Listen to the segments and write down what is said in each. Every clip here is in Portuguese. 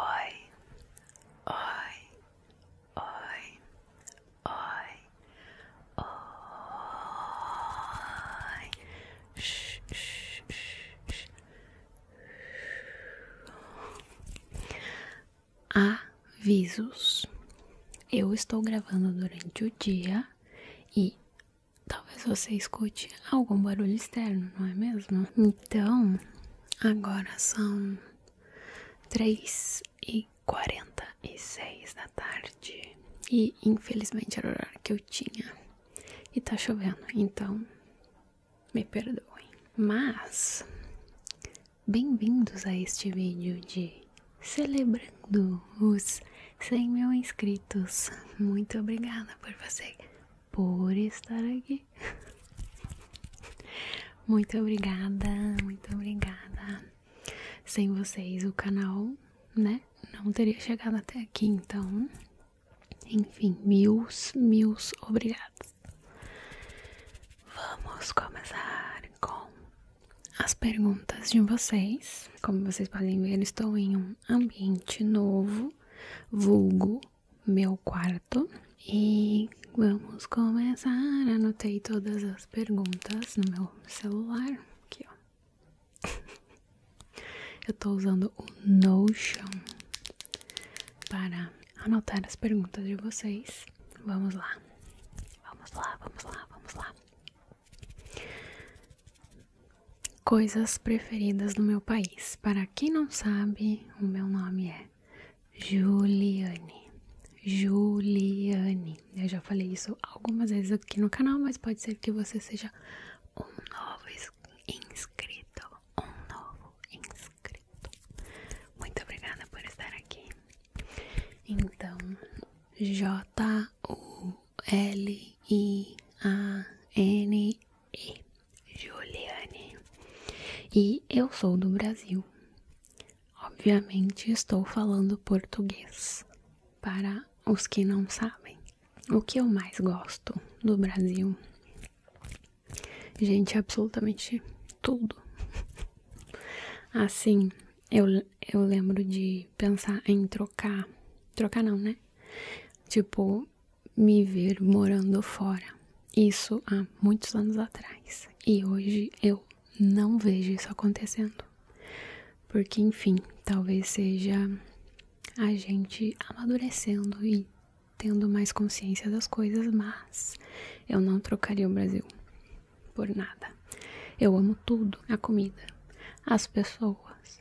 Oi, oi, oi, oi, oi, shh, shh, shh. Avisos: Eu estou gravando durante o dia e talvez você escute algum barulho externo, não é mesmo? Então Agora são três e quarenta e seis da tarde e infelizmente era o horário que eu tinha e tá chovendo, então me perdoem. Mas bem-vindos a este vídeo de celebrando os 100 mil inscritos. Muito obrigada por você por estar aqui. muito obrigada, muito obrigada. Sem vocês o canal, né, não teria chegado até aqui, então, enfim, mil, mil obrigados. Vamos começar com as perguntas de vocês. Como vocês podem ver, estou em um ambiente novo, vulgo meu quarto e vamos começar. Anotei todas as perguntas no meu celular. Aqui, ó. Eu tô usando o Notion para anotar as perguntas de vocês. Vamos lá. Vamos lá, vamos lá, vamos lá. Coisas preferidas do meu país. Para quem não sabe, o meu nome é Juliane. Juliane. Eu já falei isso algumas vezes aqui no canal, mas pode ser que você seja um novo inscrito. Um novo inscrito. Muito obrigada por estar aqui. Então, J-U-L-I-A-N-E. Juliane e eu sou do Brasil. Obviamente estou falando português para os que não sabem. O que eu mais gosto do Brasil, gente, absolutamente tudo. Assim, eu, eu lembro de pensar em trocar. Trocar não, né? Tipo, me ver morando fora. Isso há muitos anos atrás. E hoje eu não vejo isso acontecendo. Porque, enfim, talvez seja a gente amadurecendo e tendo mais consciência das coisas, mas eu não trocaria o Brasil por nada. Eu amo tudo: a comida, as pessoas,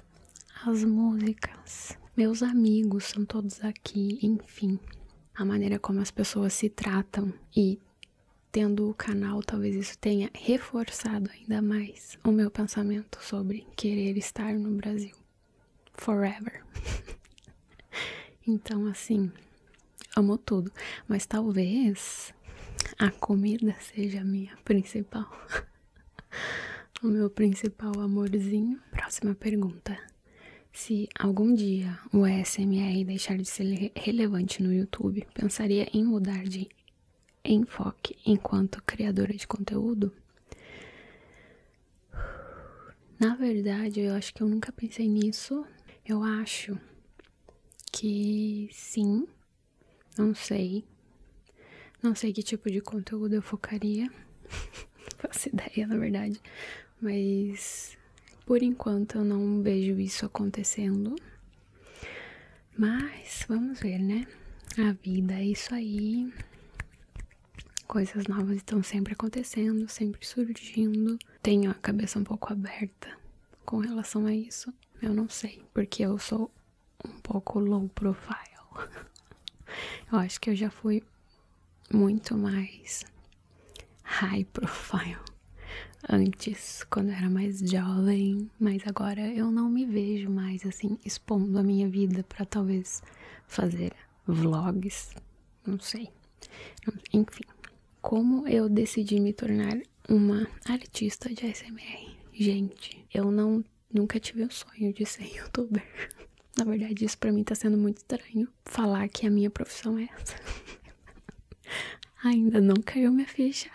as músicas, meus amigos são todos aqui, enfim a maneira como as pessoas se tratam e tendo o canal, talvez isso tenha reforçado ainda mais o meu pensamento sobre querer estar no Brasil forever. então, assim, amo tudo, mas talvez a comida seja a minha principal. o meu principal amorzinho. Próxima pergunta. Se algum dia o ASMR deixar de ser relevante no YouTube, pensaria em mudar de enfoque enquanto criadora de conteúdo? Na verdade, eu acho que eu nunca pensei nisso. Eu acho que sim, não sei. Não sei que tipo de conteúdo eu focaria. Faço ideia, na verdade mas por enquanto eu não vejo isso acontecendo. Mas vamos ver, né? A vida é isso aí. Coisas novas estão sempre acontecendo, sempre surgindo. Tenho a cabeça um pouco aberta com relação a isso. Eu não sei, porque eu sou um pouco low profile. eu acho que eu já fui muito mais high profile antes, quando eu era mais jovem, mas agora eu não me vejo mais assim expondo a minha vida para talvez fazer vlogs, não sei. Enfim, como eu decidi me tornar uma artista de ASMR? Gente, eu não nunca tive o sonho de ser youtuber. Na verdade, isso para mim tá sendo muito estranho falar que a minha profissão é essa. Ainda não caiu minha ficha.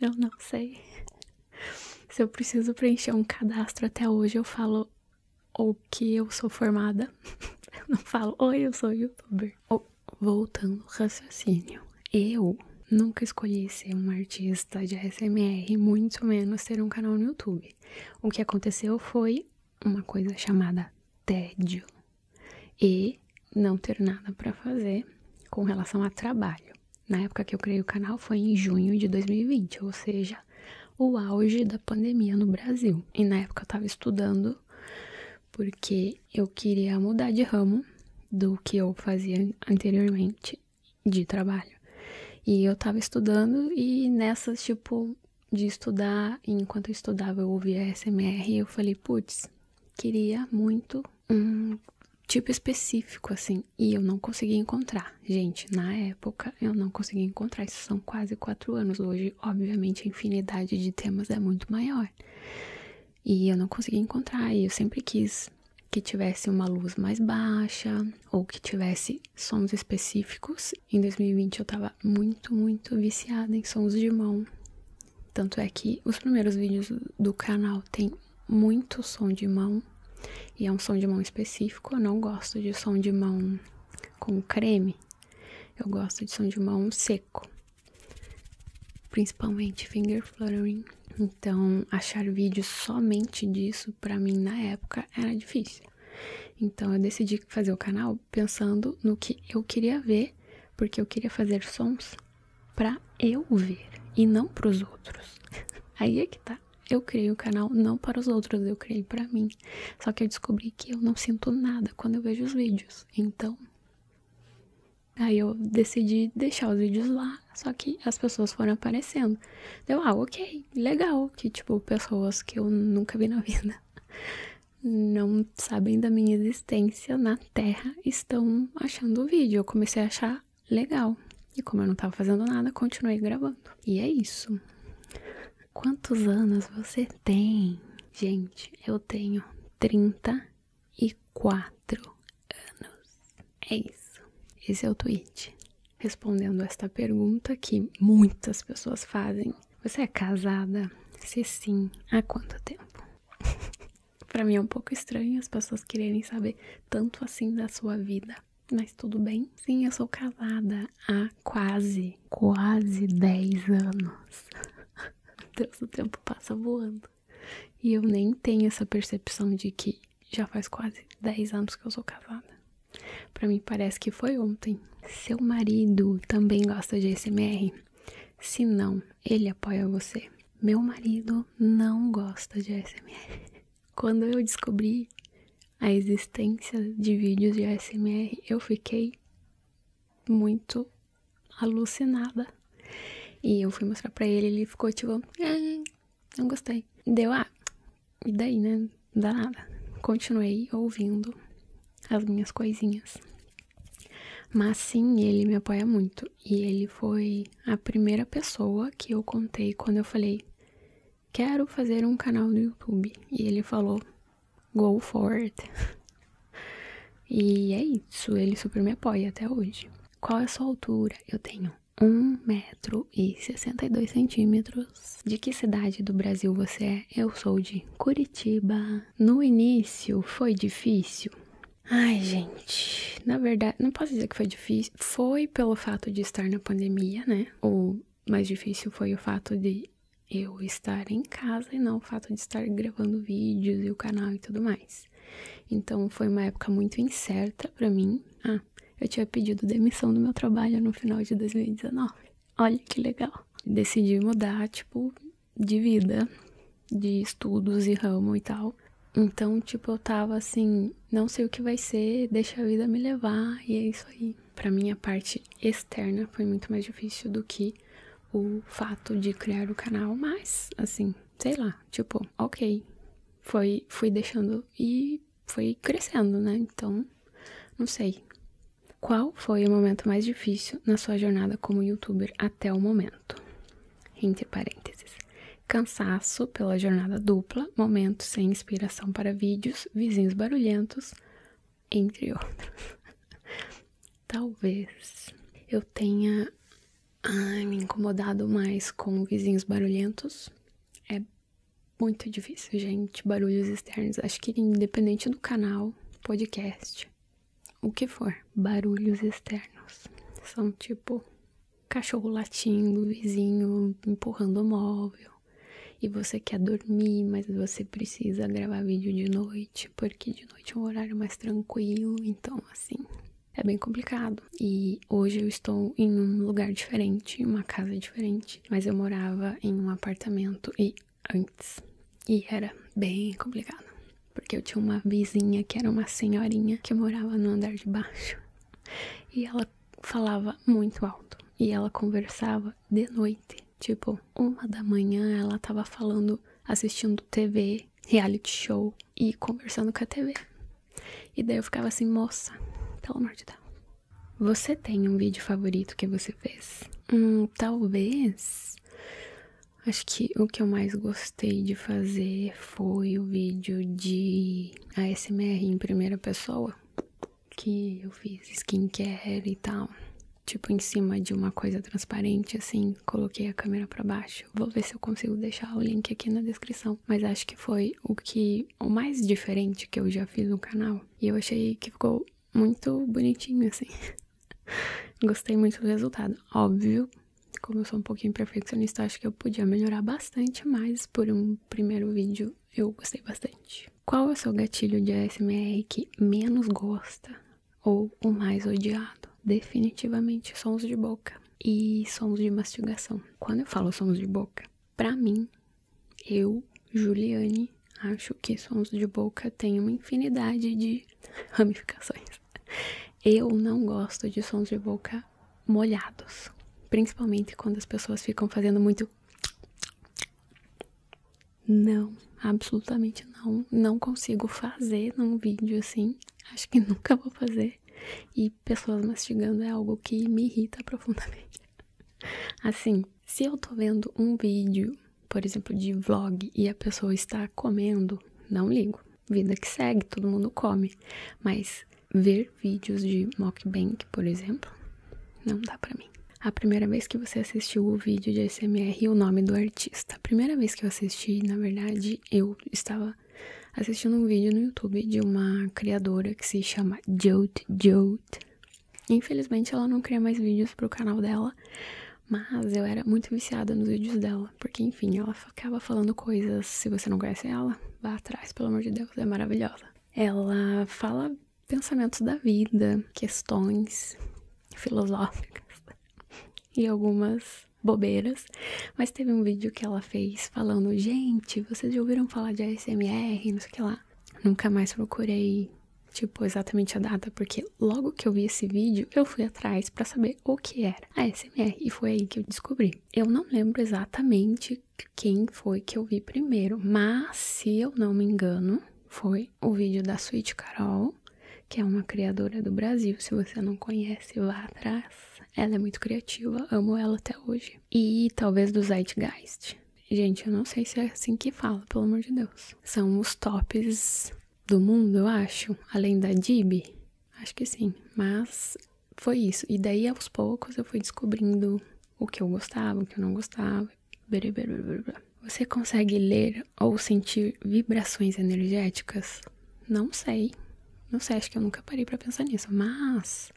Eu não sei. Se eu preciso preencher um cadastro até hoje, eu falo o que eu sou formada. Eu não falo, oi, eu sou youtuber. voltando ao raciocínio. Eu nunca escolhi ser um artista de ASMR, muito menos ter um canal no YouTube. O que aconteceu foi uma coisa chamada tédio e não ter nada para fazer com relação a trabalho. Na época que eu criei o canal foi em junho de 2020, ou seja, o auge da pandemia no Brasil. E na época eu estava estudando porque eu queria mudar de ramo do que eu fazia anteriormente de trabalho. E eu estava estudando e nessas, tipo, de estudar, e enquanto eu estudava eu ouvia SMR e eu falei, putz, queria muito um tipo específico assim, e eu não consegui encontrar. Gente, na época eu não consegui encontrar, isso são quase quatro anos hoje, obviamente a infinidade de temas é muito maior. E eu não consegui encontrar, e eu sempre quis que tivesse uma luz mais baixa ou que tivesse sons específicos. Em 2020 eu tava muito, muito viciada em sons de mão. Tanto é que os primeiros vídeos do canal tem muito som de mão. E é um som de mão específico. Eu não gosto de som de mão com creme. Eu gosto de som de mão seco. Principalmente finger fluttering. Então, achar vídeos somente disso para mim na época era difícil. Então eu decidi fazer o canal pensando no que eu queria ver, porque eu queria fazer sons pra eu ver e não para os outros. Aí é que tá. Eu criei o canal não para os outros, eu criei para mim. Só que eu descobri que eu não sinto nada quando eu vejo os vídeos. Então, aí eu decidi deixar os vídeos lá, só que as pessoas foram aparecendo. Deu, ah, ok, legal, que tipo, pessoas que eu nunca vi na vida não sabem da minha existência na Terra estão achando o vídeo. Eu comecei a achar legal. E como eu não tava fazendo nada, continuei gravando. E é isso. Quantos anos você tem? Gente, eu tenho 34 anos. É isso. Esse é o tweet. Respondendo esta pergunta que muitas pessoas fazem você é casada? Se sim, há quanto tempo? pra mim é um pouco estranho as pessoas quererem saber tanto assim da sua vida. Mas tudo bem? Sim, eu sou casada há quase, quase 10 anos. Deus, o tempo passa voando. E eu nem tenho essa percepção de que já faz quase 10 anos que eu sou casada. Para mim parece que foi ontem. Seu marido também gosta de ASMR? Se não, ele apoia você. Meu marido não gosta de ASMR. Quando eu descobri a existência de vídeos de ASMR, eu fiquei muito alucinada. E eu fui mostrar para ele, ele ficou tipo, ah, não gostei. Deu, a ah, e daí, né? não dá nada. Continuei ouvindo as minhas coisinhas. Mas sim, ele me apoia muito. E ele foi a primeira pessoa que eu contei quando eu falei: Quero fazer um canal no YouTube. E ele falou: Go for it. e é isso, ele super me apoia até hoje. Qual é a sua altura? Eu tenho metro e 162 centímetros de que cidade do Brasil você é? Eu sou de Curitiba. No início foi difícil. Ai, gente, na verdade, não posso dizer que foi difícil. Foi pelo fato de estar na pandemia, né? O mais difícil foi o fato de eu estar em casa e não o fato de estar gravando vídeos e o canal e tudo mais. Então foi uma época muito incerta para mim. Ah, eu tinha pedido demissão do meu trabalho no final de 2019. Olha que legal. Decidi mudar, tipo, de vida, de estudos e ramo e tal. Então, tipo, eu tava assim, não sei o que vai ser, deixa a vida me levar, e é isso aí. Pra mim, a parte externa foi muito mais difícil do que o fato de criar o canal, mas, assim, sei lá, tipo, ok. Foi, fui deixando e fui crescendo, né? Então, não sei. Qual foi o momento mais difícil na sua jornada como youtuber até o momento? Entre parênteses. Cansaço pela jornada dupla, momentos sem inspiração para vídeos, vizinhos barulhentos, entre outros. Talvez eu tenha me incomodado mais com vizinhos barulhentos. É muito difícil, gente, barulhos externos. Acho que independente do canal, podcast, o que for, barulhos externos. São tipo cachorro latindo, vizinho empurrando o móvel. E você quer dormir, mas você precisa gravar vídeo de noite, porque de noite é um horário mais tranquilo, então assim, é bem complicado. E hoje eu estou em um lugar diferente, uma casa diferente, mas eu morava em um apartamento e antes. E era bem complicado, porque eu tinha uma vizinha que era uma senhorinha que morava no andar de baixo e ela falava muito alto e ela conversava de noite, tipo uma da manhã ela tava falando, assistindo TV, reality show e conversando com a TV. E daí eu ficava assim, moça, pelo amor de Deus. Você tem um vídeo favorito que você fez? Hum, talvez. Acho que o que eu mais gostei de fazer foi o vídeo de ASMR em primeira pessoa. Que eu fiz skincare e tal. Tipo, em cima de uma coisa transparente, assim, coloquei a câmera para baixo. Vou ver se eu consigo deixar o link aqui na descrição. Mas acho que foi o que. o mais diferente que eu já fiz no canal. E eu achei que ficou muito bonitinho, assim. Gostei muito do resultado. Óbvio, como eu sou um pouquinho perfeccionista, acho que eu podia melhorar bastante, mas por um primeiro vídeo eu gostei bastante. Qual é o seu gatilho de ASMR que menos gosta ou o mais odiado? Definitivamente sons de boca e sons de mastigação. Quando eu falo sons de boca, pra mim, eu, Juliane, acho que sons de boca têm uma infinidade de ramificações. Eu não gosto de sons de boca molhados, principalmente quando as pessoas ficam fazendo muito. Não, absolutamente não. Não consigo fazer num vídeo assim. Acho que nunca vou fazer. E pessoas mastigando é algo que me irrita profundamente. Assim, se eu tô vendo um vídeo, por exemplo, de vlog e a pessoa está comendo, não ligo. Vida que segue, todo mundo come. Mas ver vídeos de mukbang, por exemplo, não dá pra mim. A primeira vez que você assistiu o vídeo de ASMR e o nome do artista. A primeira vez que eu assisti, na verdade, eu estava assistindo um vídeo no YouTube de uma criadora que se chama Jolt Jolt. Infelizmente ela não cria mais vídeos pro canal dela, mas eu era muito viciada nos vídeos dela, porque enfim, ela acaba falando coisas. Se você não conhece ela, vá atrás, pelo amor de Deus, é maravilhosa. Ela fala pensamentos da vida, questões filosóficas e algumas bobeiras, mas teve um vídeo que ela fez falando: Gente, vocês já ouviram falar de ASMR? Não sei o que lá. Nunca mais procurei tipo, exatamente a data, porque logo que eu vi esse vídeo, eu fui atrás para saber o que era a SMR e foi aí que eu descobri. Eu não lembro exatamente quem foi que eu vi primeiro, mas se eu não me engano, foi o vídeo da Sweet Carol, que é uma criadora do Brasil. Se você não conhece, lá atrás. Ela é muito criativa, amo ela até hoje. E talvez do Zeitgeist. Gente, eu não sei se é assim que fala, pelo amor de Deus. São os tops do mundo, eu acho. Além da Dib, acho que sim. Mas foi isso. E daí, aos poucos, eu fui descobrindo o que eu gostava, o que eu não gostava. Você consegue ler ou sentir vibrações energéticas? Não sei. Não sei, acho que eu nunca parei para pensar nisso, mas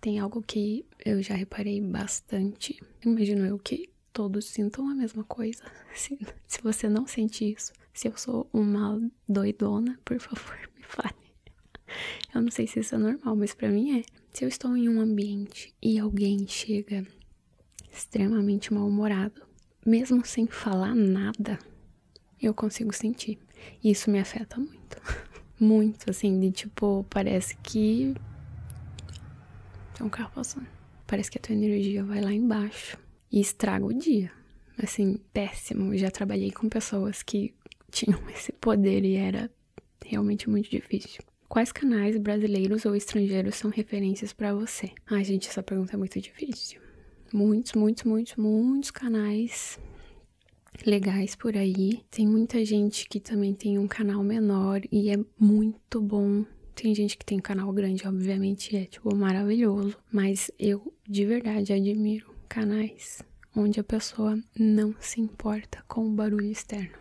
tem algo que eu já reparei bastante. Imagino eu que todos sintam a mesma coisa. Se, você não sente isso, se eu sou uma doidona, por favor, me fale. Eu não sei se isso é normal, mas para mim é. Se eu estou em um ambiente e alguém chega extremamente mal-humorado, mesmo sem falar nada, eu consigo sentir. E isso me afeta muito. muito, assim, de tipo, parece que. Tem é um carro passando. Parece que a tua energia vai lá embaixo e estraga o dia. Assim, péssimo. Já trabalhei com pessoas que tinham esse poder e era realmente muito difícil. Quais canais brasileiros ou estrangeiros são referências para você? Ai, gente, essa pergunta é muito difícil. Muitos, muitos, muitos, muitos canais legais por aí. Tem muita gente que também tem um canal menor e é muito muito bom. Tem gente que tem canal grande, obviamente, é tipo maravilhoso, mas eu de verdade admiro canais onde a pessoa não se importa com o barulho externo.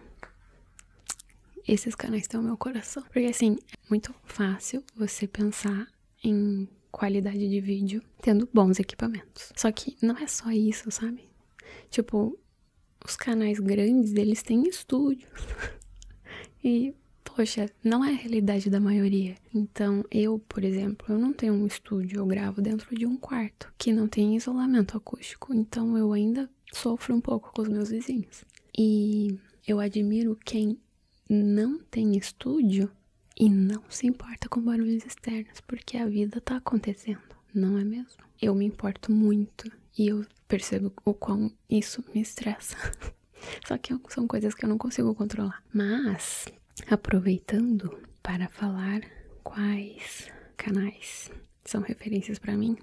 Esses canais estão no meu coração, porque assim, é muito fácil você pensar em qualidade de vídeo tendo bons equipamentos. Só que não é só isso, sabe? Tipo, os canais grandes, eles têm estúdio. e, poxa, não é a realidade da maioria. Então, eu, por exemplo, eu não tenho um estúdio, eu gravo dentro de um quarto, que não tem isolamento acústico, então eu ainda sofro um pouco com os meus vizinhos. E eu admiro quem não tem estúdio e não se importa com barulhos externos, porque a vida tá acontecendo, não é mesmo? Eu me importo muito e eu percebo o quão isso me estressa. Só que são coisas que eu não consigo controlar. Mas, aproveitando para falar quais canais são referências para mim,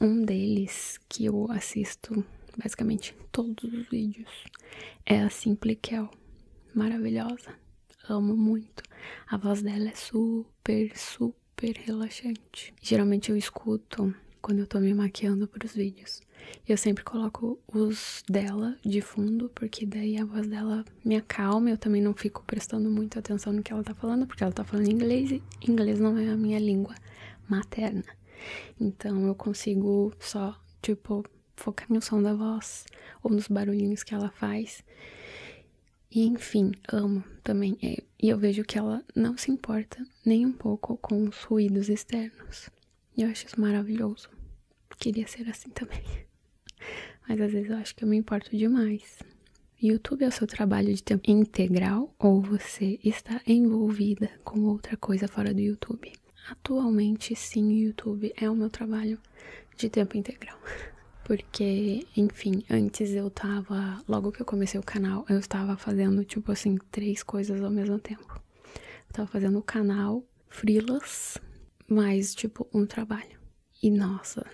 um deles que eu assisto basicamente todos os vídeos é a Simple Maravilhosa. Amo muito. A voz dela é super, super super relaxante. Geralmente eu escuto quando eu tô me maquiando pros vídeos. Eu sempre coloco os dela de fundo, porque daí a voz dela me acalma. Eu também não fico prestando muita atenção no que ela tá falando, porque ela tá falando inglês e inglês não é a minha língua materna. Então eu consigo só, tipo, focar no som da voz ou nos barulhinhos que ela faz. E enfim, amo também. E eu vejo que ela não se importa nem um pouco com os ruídos externos. E eu acho isso maravilhoso. Queria ser assim também. Mas às vezes eu acho que eu me importo demais. YouTube é o seu trabalho de tempo integral ou você está envolvida com outra coisa fora do YouTube? Atualmente, sim, o YouTube é o meu trabalho de tempo integral. Porque, enfim, antes eu estava, Logo que eu comecei o canal, eu estava fazendo, tipo assim, três coisas ao mesmo tempo. tava fazendo o canal, frilas, mais, tipo, um trabalho. E nossa,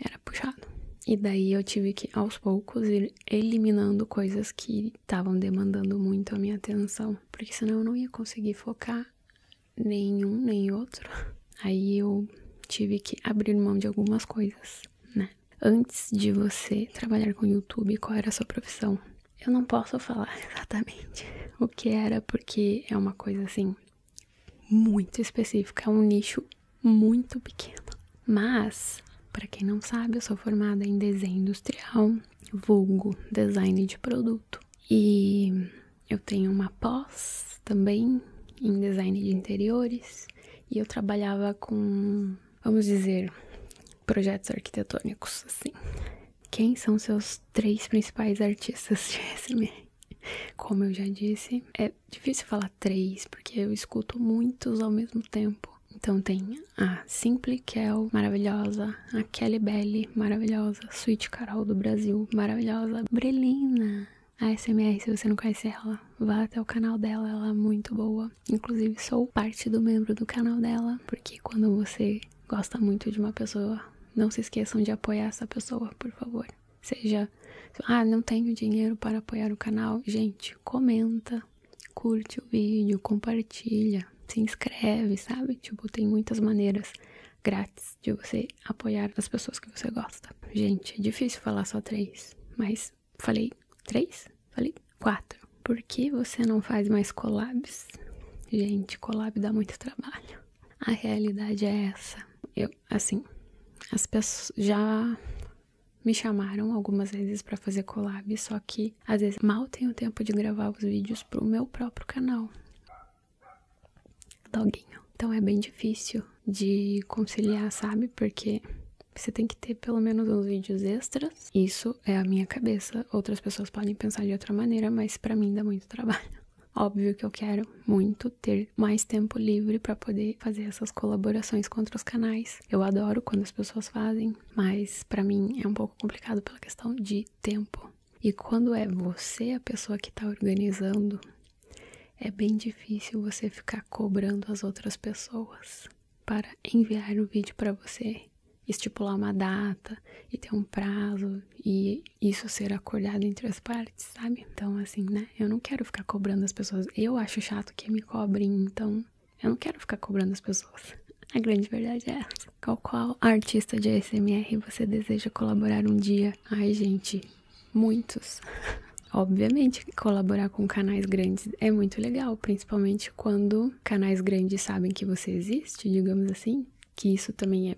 era puxado. E daí eu tive que, aos poucos, ir eliminando coisas que estavam demandando muito a minha atenção. Porque senão eu não ia conseguir focar nenhum nem outro. Aí eu tive que abrir mão de algumas coisas, né? Antes de você trabalhar com YouTube, qual era a sua profissão? Eu não posso falar exatamente o que era, porque é uma coisa assim muito específica, é um nicho muito pequeno. Mas, para quem não sabe, eu sou formada em desenho industrial, vulgo design de produto. E eu tenho uma pós também em design de interiores e eu trabalhava com vamos dizer, projetos arquitetônicos, assim. Quem são seus três principais artistas de SMR? Como eu já disse, é difícil falar três, porque eu escuto muitos ao mesmo tempo. Então tem a Simple Kel, maravilhosa, a Kelly Belly, maravilhosa, Sweet Carol do Brasil, maravilhosa, Brelina, a SMR, se você não conhece ela, vá até o canal dela, ela é muito boa. Inclusive, sou parte do membro do canal dela, porque quando você gosta muito de uma pessoa, não se esqueçam de apoiar essa pessoa, por favor. Seja, ah, não tenho dinheiro para apoiar o canal. Gente, comenta, curte o vídeo, compartilha, se inscreve, sabe? Tipo, tem muitas maneiras grátis de você apoiar as pessoas que você gosta. Gente, é difícil falar só três, mas Falei três? Falei quatro. Por que você não faz mais collabs? Gente, collab dá muito trabalho. A realidade é essa. Eu, assim, as pessoas já me chamaram algumas vezes para fazer collab, só que às vezes mal tenho tempo de gravar os vídeos pro meu próprio canal. Doguinho. Então é bem difícil de conciliar, sabe? Porque você tem que ter pelo menos uns vídeos extras. Isso é a minha cabeça. Outras pessoas podem pensar de outra maneira, mas para mim dá muito trabalho. Óbvio que eu quero muito ter mais tempo livre para poder fazer essas colaborações com outros canais. Eu adoro quando as pessoas fazem, mas para mim é um pouco complicado pela questão de tempo. E quando é você a pessoa que está organizando, é bem difícil você ficar cobrando as outras pessoas para enviar o um vídeo para você, estipular uma data e ter um prazo e isso ser acordado entre as partes, sabe? Então, assim, né? Eu não quero ficar cobrando as pessoas. Eu acho chato que me cobrem, então eu não quero ficar cobrando as pessoas. A grande verdade é essa. Qual qual artista de ASMR você deseja colaborar um dia? Ai, gente, muitos. Obviamente, colaborar com canais grandes é muito legal, principalmente quando canais grandes sabem que você existe, digamos assim, que isso também é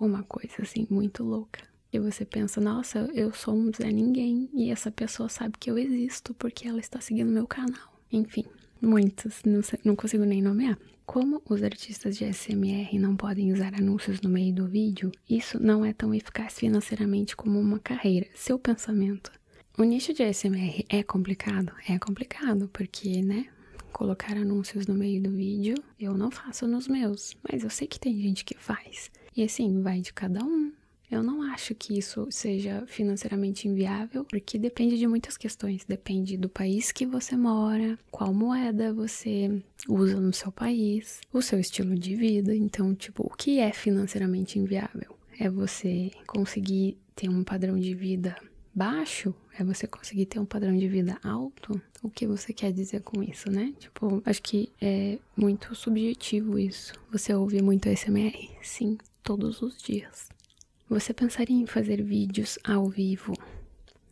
uma coisa assim muito louca. E você pensa, nossa, eu sou um Zé Ninguém e essa pessoa sabe que eu existo porque ela está seguindo meu canal. Enfim, muitos, não consigo nem nomear. Como os artistas de SMR não podem usar anúncios no meio do vídeo, isso não é tão eficaz financeiramente como uma carreira. Seu pensamento o nicho de ASMR é complicado? É complicado, porque, né? Colocar anúncios no meio do vídeo eu não faço nos meus, mas eu sei que tem gente que faz. E assim, vai de cada um. Eu não acho que isso seja financeiramente inviável, porque depende de muitas questões. Depende do país que você mora, qual moeda você usa no seu país, o seu estilo de vida. Então, tipo, o que é financeiramente inviável? é você conseguir ter um padrão de vida baixo, é você conseguir ter um padrão de vida alto? O que você quer dizer com isso, né? Tipo, acho que é muito subjetivo isso. Você ouve muito ASMR? Sim, todos os dias. Você pensaria em fazer vídeos ao vivo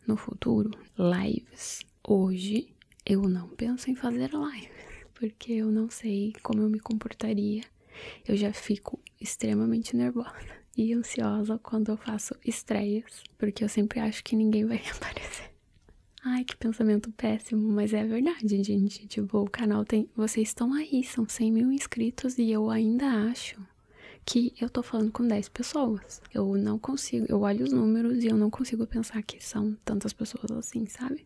no futuro? Lives. Hoje eu não penso em fazer lives, porque eu não sei como eu me comportaria eu já fico extremamente nervosa e ansiosa quando eu faço estreias, porque eu sempre acho que ninguém vai aparecer. Ai, que pensamento péssimo, mas é verdade, gente. Tipo, o canal tem. Vocês estão aí, são 100 mil inscritos e eu ainda acho que eu tô falando com 10 pessoas. Eu não consigo, eu olho os números e eu não consigo pensar que são tantas pessoas assim, sabe?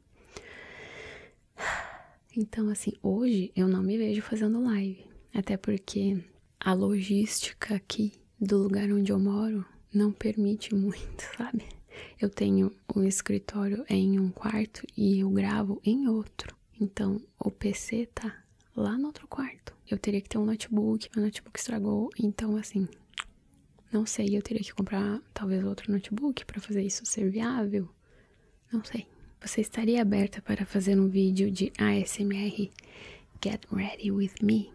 Então, assim, hoje eu não me vejo fazendo live, até porque a logística aqui do lugar onde eu moro não permite muito, sabe? Eu tenho um escritório em um quarto e eu gravo em outro. Então, o PC tá lá no outro quarto. Eu teria que ter um notebook, meu notebook estragou, então assim, não sei, eu teria que comprar talvez outro notebook para fazer isso ser viável. Não sei. Você estaria aberta para fazer um vídeo de ASMR Get Ready With Me?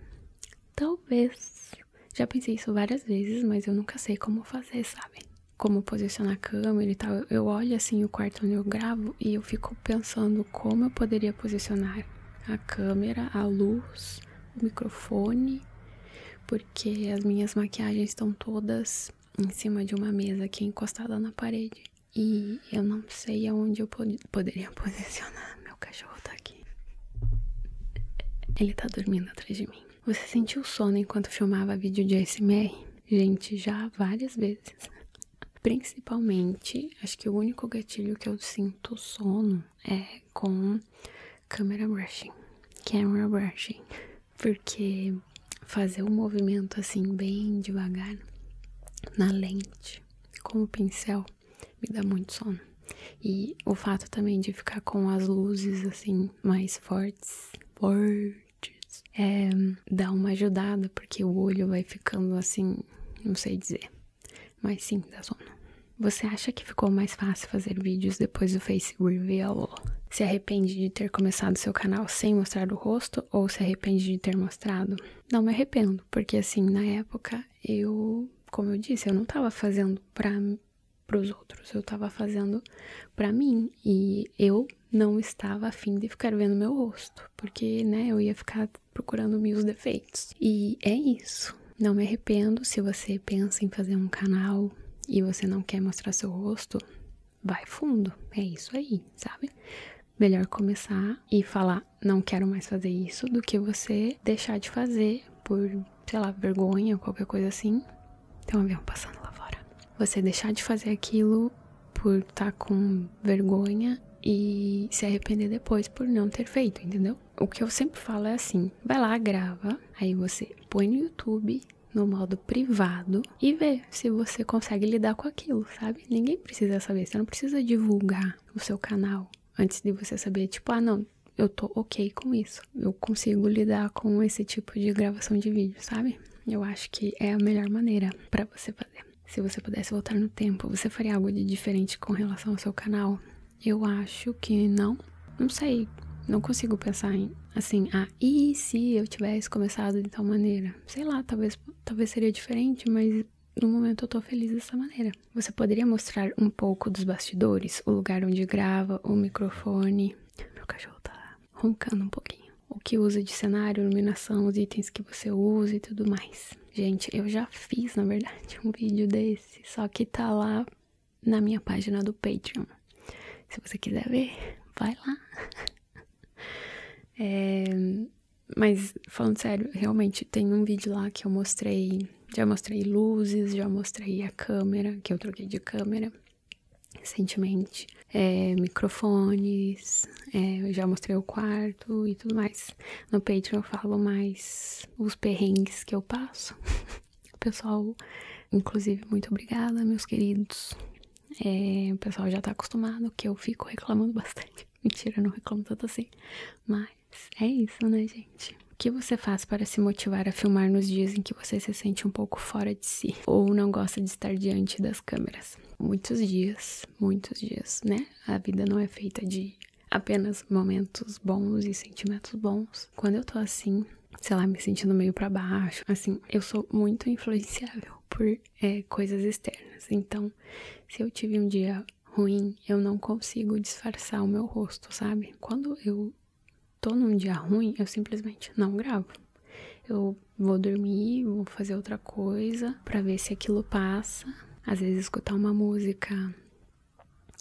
Talvez. Já pensei isso várias vezes, mas eu nunca sei como fazer, sabe? Como posicionar a câmera e tal. Eu olho assim o quarto onde eu gravo e eu fico pensando como eu poderia posicionar a câmera, a luz, o microfone, porque as minhas maquiagens estão todas em cima de uma mesa que é encostada na parede. E eu não sei aonde eu poderia posicionar. Meu cachorro tá aqui. Ele tá dormindo atrás de mim. Você sentiu sono enquanto filmava vídeo de ASMR? Gente, já várias vezes. Principalmente, acho que o único gatilho que eu sinto sono é com camera brushing. Camera brushing porque fazer um movimento assim bem devagar na lente com o pincel me dá muito sono. E o fato também de ficar com as luzes assim mais fortes, fortes, é, dá uma ajudada porque o olho vai ficando assim, não sei dizer, mas sim dá sono. Você acha que ficou mais fácil fazer vídeos depois do Face se arrepende de ter começado seu canal sem mostrar o rosto ou se arrepende de ter mostrado? Não me arrependo, porque assim, na época, eu, como eu disse, eu não tava fazendo pra, os outros, eu tava fazendo pra mim e eu não estava afim de ficar vendo meu rosto, porque, né, eu ia ficar procurando meus defeitos. E é isso. Não me arrependo se você pensa em fazer um canal e você não quer mostrar seu rosto, vai fundo, é isso aí, sabe? Melhor começar e falar, não quero mais fazer isso, do que você deixar de fazer por, sei lá, vergonha, qualquer coisa assim. Tem então, um avião passando lá fora. Você deixar de fazer aquilo por estar tá com vergonha e se arrepender depois por não ter feito, entendeu? O que eu sempre falo é assim: vai lá, grava, aí você põe no YouTube no modo privado e ver se você consegue lidar com aquilo, sabe? Ninguém precisa saber, você não precisa divulgar o seu canal antes de você saber, tipo, ah, não, eu tô ok com isso, eu consigo lidar com esse tipo de gravação de vídeo, sabe? Eu acho que é a melhor maneira para você fazer. Se você pudesse voltar no tempo, você faria algo de diferente com relação ao seu canal? Eu acho que não. Não sei, não consigo pensar em assim, ah, e se eu tivesse começado de tal maneira? Sei lá, talvez, talvez seria diferente, mas no momento eu tô feliz dessa maneira. Você poderia mostrar um pouco dos bastidores, o lugar onde grava, o microfone. Meu cachorro tá roncando um pouquinho. O que usa de cenário, iluminação, os itens que você usa e tudo mais. Gente, eu já fiz, na verdade, um vídeo desse, só que tá lá na minha página do Patreon se você quiser ver, vai lá. É, mas falando sério, realmente tem um vídeo lá que eu mostrei, já mostrei luzes, já mostrei a câmera, que eu troquei de câmera recentemente, é, microfones, é, já mostrei o quarto e tudo mais. No Patreon eu falo mais os perrengues que eu passo. Pessoal, inclusive, muito obrigada, meus queridos. É, o pessoal já tá acostumado que eu fico reclamando bastante. Mentira, eu não reclamo tanto assim. Mas é isso, né, gente? O que você faz para se motivar a filmar nos dias em que você se sente um pouco fora de si ou não gosta de estar diante das câmeras? Muitos dias, muitos dias, né? A vida não é feita de apenas momentos bons e sentimentos bons. Quando eu tô assim, sei lá, me sentindo meio para baixo. Assim, eu sou muito influenciável por é, coisas externas. Então, se eu tive um dia ruim, eu não consigo disfarçar o meu rosto, sabe? Quando eu tô num dia ruim, eu simplesmente não gravo. Eu vou dormir, vou fazer outra coisa para ver se aquilo passa. Às vezes escutar uma música,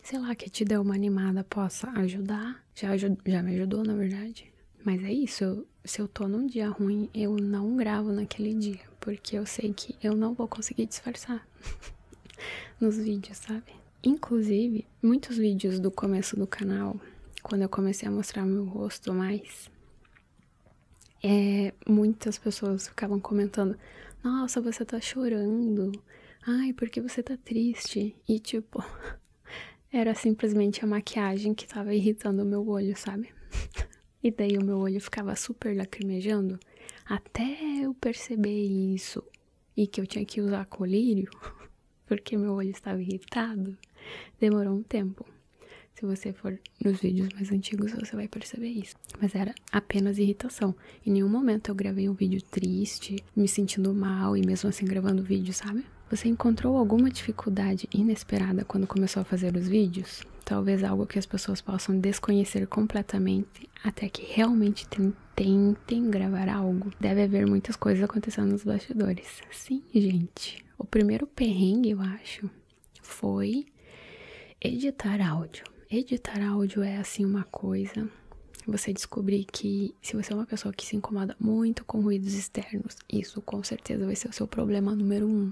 sei lá, que te deu uma animada possa ajudar. Já, já me ajudou, na verdade. Mas é isso, se eu tô num dia ruim, eu não gravo naquele dia, porque eu sei que eu não vou conseguir disfarçar nos vídeos, sabe? Inclusive, muitos vídeos do começo do canal, quando eu comecei a mostrar meu rosto mais, é, muitas pessoas ficavam comentando: Nossa, você tá chorando. Ai, porque você tá triste? E tipo, Era simplesmente a maquiagem que tava irritando o meu olho, sabe? e daí o meu olho ficava super lacrimejando até eu perceber isso e que eu tinha que usar colírio, porque meu olho estava irritado. Demorou um tempo. Se você for nos vídeos mais antigos, você vai perceber isso. Mas era apenas irritação. Em nenhum momento eu gravei um vídeo triste, me sentindo mal e mesmo assim gravando vídeo, sabe? Você encontrou alguma dificuldade inesperada quando começou a fazer os vídeos? Talvez algo que as pessoas possam desconhecer completamente até que realmente tentem gravar algo. Deve haver muitas coisas acontecendo nos bastidores. Sim, gente. O primeiro perrengue, eu acho, foi editar áudio. Editar áudio é assim uma coisa. Você descobrir que se você é uma pessoa que se incomoda muito com ruídos externos, isso com certeza vai ser o seu problema número um,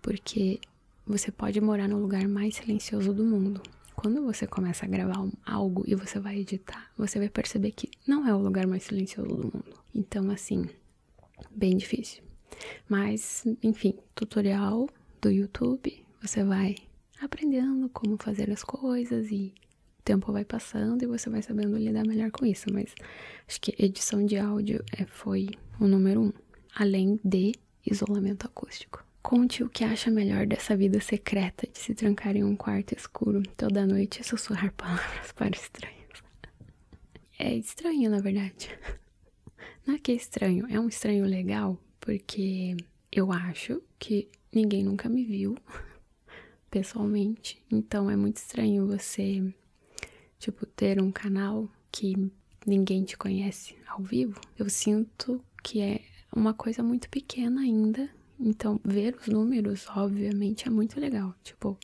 porque você pode morar no lugar mais silencioso do mundo. Quando você começa a gravar algo e você vai editar, você vai perceber que não é o lugar mais silencioso do mundo. Então, assim, bem difícil. Mas, enfim, tutorial do YouTube, você vai aprendendo como fazer as coisas e o tempo vai passando e você vai sabendo lidar melhor com isso, mas acho que edição de áudio é, foi o número um, além de isolamento acústico. Conte o que acha melhor dessa vida secreta de se trancar em um quarto escuro toda noite e sussurrar palavras para estranhos. É estranho, na verdade. Não é que é estranho, é um estranho legal, porque eu acho que ninguém nunca me viu pessoalmente. Então é muito estranho você, tipo, ter um canal que ninguém te conhece ao vivo. Eu sinto que é uma coisa muito pequena ainda. Então, ver os números, obviamente, é muito legal. Tipo,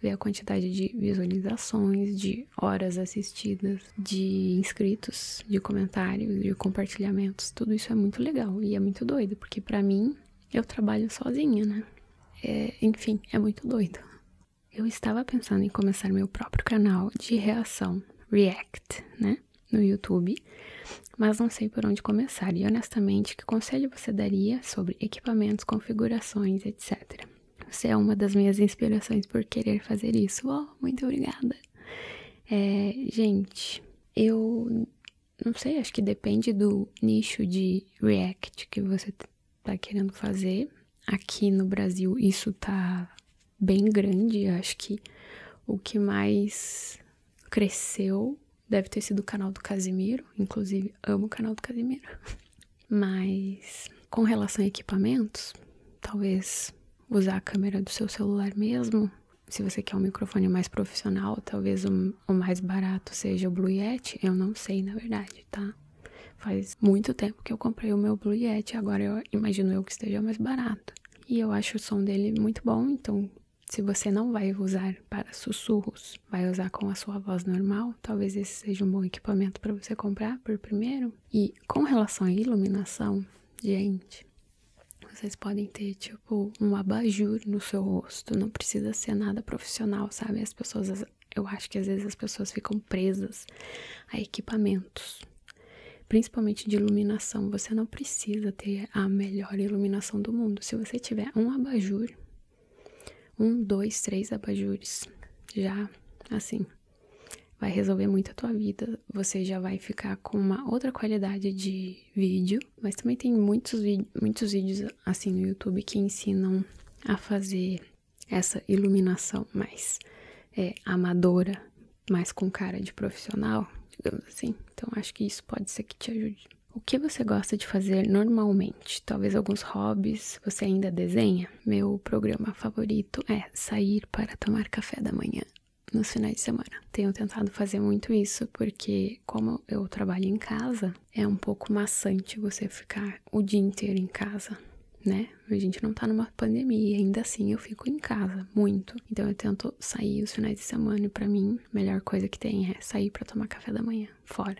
ver a quantidade de visualizações, de horas assistidas, de inscritos, de comentários, de compartilhamentos, tudo isso é muito legal e é muito doido, porque para mim eu trabalho sozinha, né? É, enfim, é muito doido. Eu estava pensando em começar meu próprio canal de reação, React, né? No YouTube, mas não sei por onde começar. E honestamente, que conselho você daria sobre equipamentos, configurações, etc? Você é uma das minhas inspirações por querer fazer isso. Oh, muito obrigada! É, gente, eu não sei, acho que depende do nicho de React que você tá querendo fazer. Aqui no Brasil isso tá bem grande, acho que o que mais cresceu deve ter sido o canal do Casimiro, inclusive amo o canal do Casimiro. Mas com relação a equipamentos, talvez usar a câmera do seu celular mesmo. Se você quer um microfone mais profissional, talvez um o mais barato seja o Blue Yeti, eu não sei na verdade, tá? Faz muito tempo que eu comprei o meu Blue Yeti, agora eu imagino eu que esteja mais barato. E eu acho o som dele muito bom, então se você não vai usar para sussurros, vai usar com a sua voz normal, talvez esse seja um bom equipamento para você comprar por primeiro. E com relação à iluminação, gente, vocês podem ter tipo um abajur no seu não precisa ser nada profissional, sabe? As pessoas, eu acho que às vezes as pessoas ficam presas a equipamentos, principalmente de iluminação. Você não precisa ter a melhor iluminação do mundo. Se você tiver um abajur, um, dois, três abajures, já assim, vai resolver muito a tua vida. Você já vai ficar com uma outra qualidade de vídeo, mas também tem muitos, muitos vídeos assim no YouTube que ensinam a fazer essa iluminação mais é, amadora, mais com cara de profissional, digamos assim. Então acho que isso pode ser que te ajude. O que você gosta de fazer normalmente? Talvez alguns hobbies, você ainda desenha? Meu programa favorito é sair para tomar café da manhã no final de semana. Tenho tentado fazer muito isso porque, como eu trabalho em casa, é um pouco maçante você ficar o dia inteiro em casa, né? A gente não tá numa pandemia, ainda assim eu fico em casa muito. Então eu tento sair os finais de semana e para mim a melhor coisa que tem é sair para tomar café da manhã fora.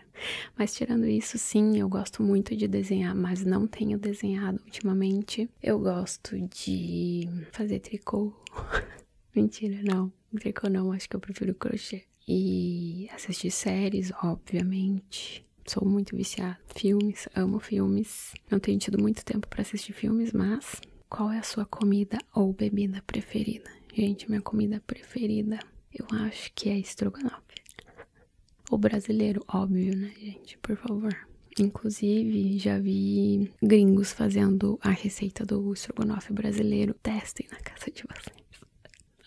Mas tirando isso, sim, eu gosto muito de desenhar, mas não tenho desenhado ultimamente. Eu gosto de fazer tricô. Mentira, não. Tricô não, acho que eu prefiro crochê e assistir séries, obviamente. Sou muito viciada. Filmes, amo filmes. Não tenho tido muito tempo para assistir filmes, mas qual é a sua comida ou bebida preferida? Gente, minha comida preferida, eu acho que é estrogonofe. O brasileiro, óbvio, né, gente? Por favor. Inclusive, já vi gringos fazendo a receita do estrogonofe brasileiro. Testem na casa de vocês.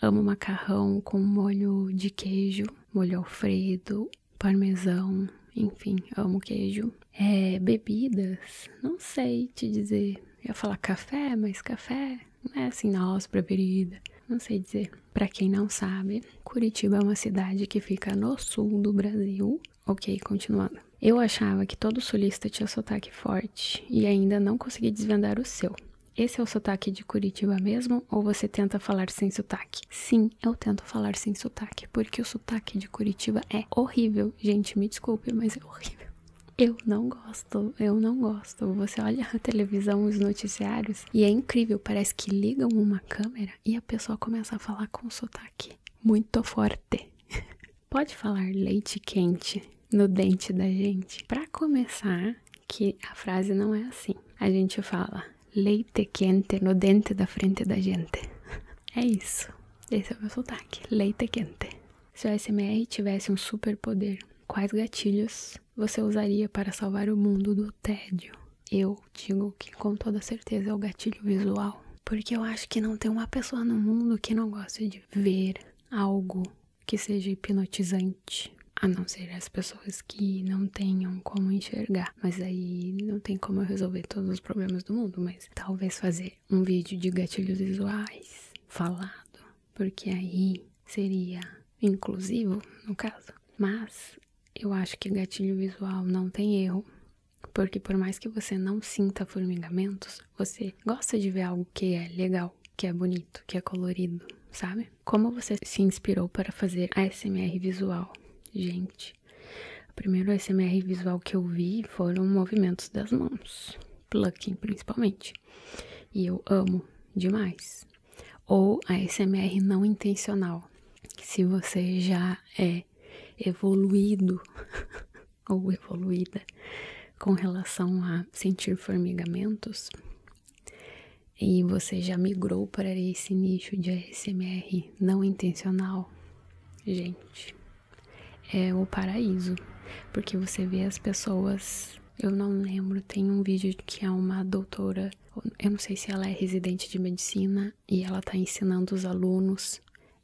Amo macarrão com molho de queijo, molho alfredo, parmesão, enfim, amo queijo. É, bebidas, não sei te dizer. Eu ia falar café, mas café não é assim nossa preferida. Não sei dizer. Para quem não sabe, Curitiba é uma cidade que fica no sul do Brasil. Ok, continuando. Eu achava que todo sulista tinha sotaque forte e ainda não consegui desvendar o seu. Esse é o sotaque de Curitiba mesmo ou você tenta falar sem sotaque? Sim, eu tento falar sem sotaque, porque o sotaque de Curitiba é horrível. Gente, me desculpe, mas é horrível. Eu não gosto, eu não gosto. Você olha a televisão, os noticiários, e é incrível, parece que ligam uma câmera e a pessoa começa a falar com sotaque muito forte. Pode falar leite quente, no dente da gente. Para começar, que a frase não é assim. A gente fala leite quente no dente da frente da gente. É isso. Esse é o meu sotaque. Leite quente. Se o SMR tivesse um superpoder, quais gatilhos você usaria para salvar o mundo do tédio? Eu digo que com toda certeza é o gatilho visual. Porque eu acho que não tem uma pessoa no mundo que não goste de ver algo que seja hipnotizante, a não ser as pessoas que não tenham como enxergar. Mas aí não tem como eu resolver todos os problemas do mundo, mas talvez fazer um vídeo de gatilhos visuais falado, porque aí seria inclusivo, no caso. Mas eu acho que gatilho visual não tem erro. Porque por mais que você não sinta formigamentos, você gosta de ver algo que é legal que é bonito, que é colorido, sabe? Como você se inspirou para fazer ASMR visual? Gente, o primeiro ASMR visual que eu vi foram movimentos das mãos, plucking principalmente, e eu amo demais. Ou ASMR não intencional, se você já é evoluído ou evoluída com relação a sentir formigamentos, e você já migrou para esse nicho de ASMR não intencional, gente, é o paraíso, porque você vê as pessoas. Eu não lembro, tem um vídeo que é uma doutora, eu não sei se ela é residente de medicina e ela tá ensinando os alunos.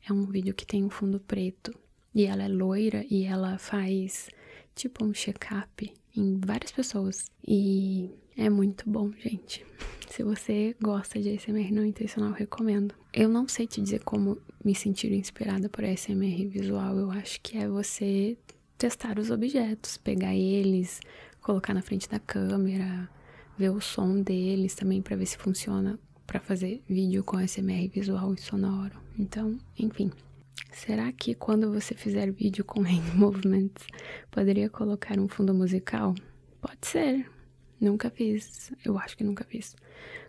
É um vídeo que tem um fundo preto e ela é loira e ela faz tipo um check-up em várias pessoas. E é muito bom, gente. Se você gosta de SMR não intencional, recomendo. Eu não sei te dizer como me sentir inspirada por SMR visual. Eu acho que é você testar os objetos, pegar eles, colocar na frente da câmera, ver o som deles também para ver se funciona para fazer vídeo com SMR visual e sonoro. Então, enfim, Será que quando você fizer vídeo com hand movements, poderia colocar um fundo musical? Pode ser. Nunca fiz. Eu acho que nunca fiz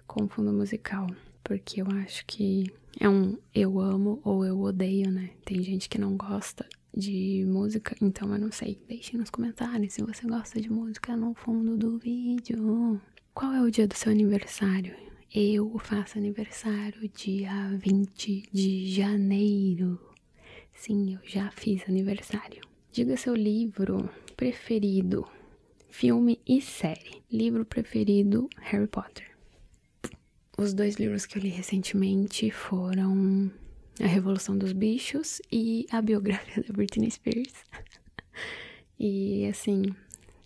com fundo musical, porque eu acho que é um eu amo ou eu odeio, né? Tem gente que não gosta de música, então eu não sei. Deixe nos comentários se você gosta de música no fundo do vídeo. Qual é o dia do seu aniversário? eu faço aniversário dia 20 de janeiro. Sim, eu já fiz aniversário. Diga seu livro preferido, filme e série. Livro preferido, Harry Potter. Os dois livros que eu li recentemente foram A Revolução dos Bichos e a biografia da Britney Spears. e assim,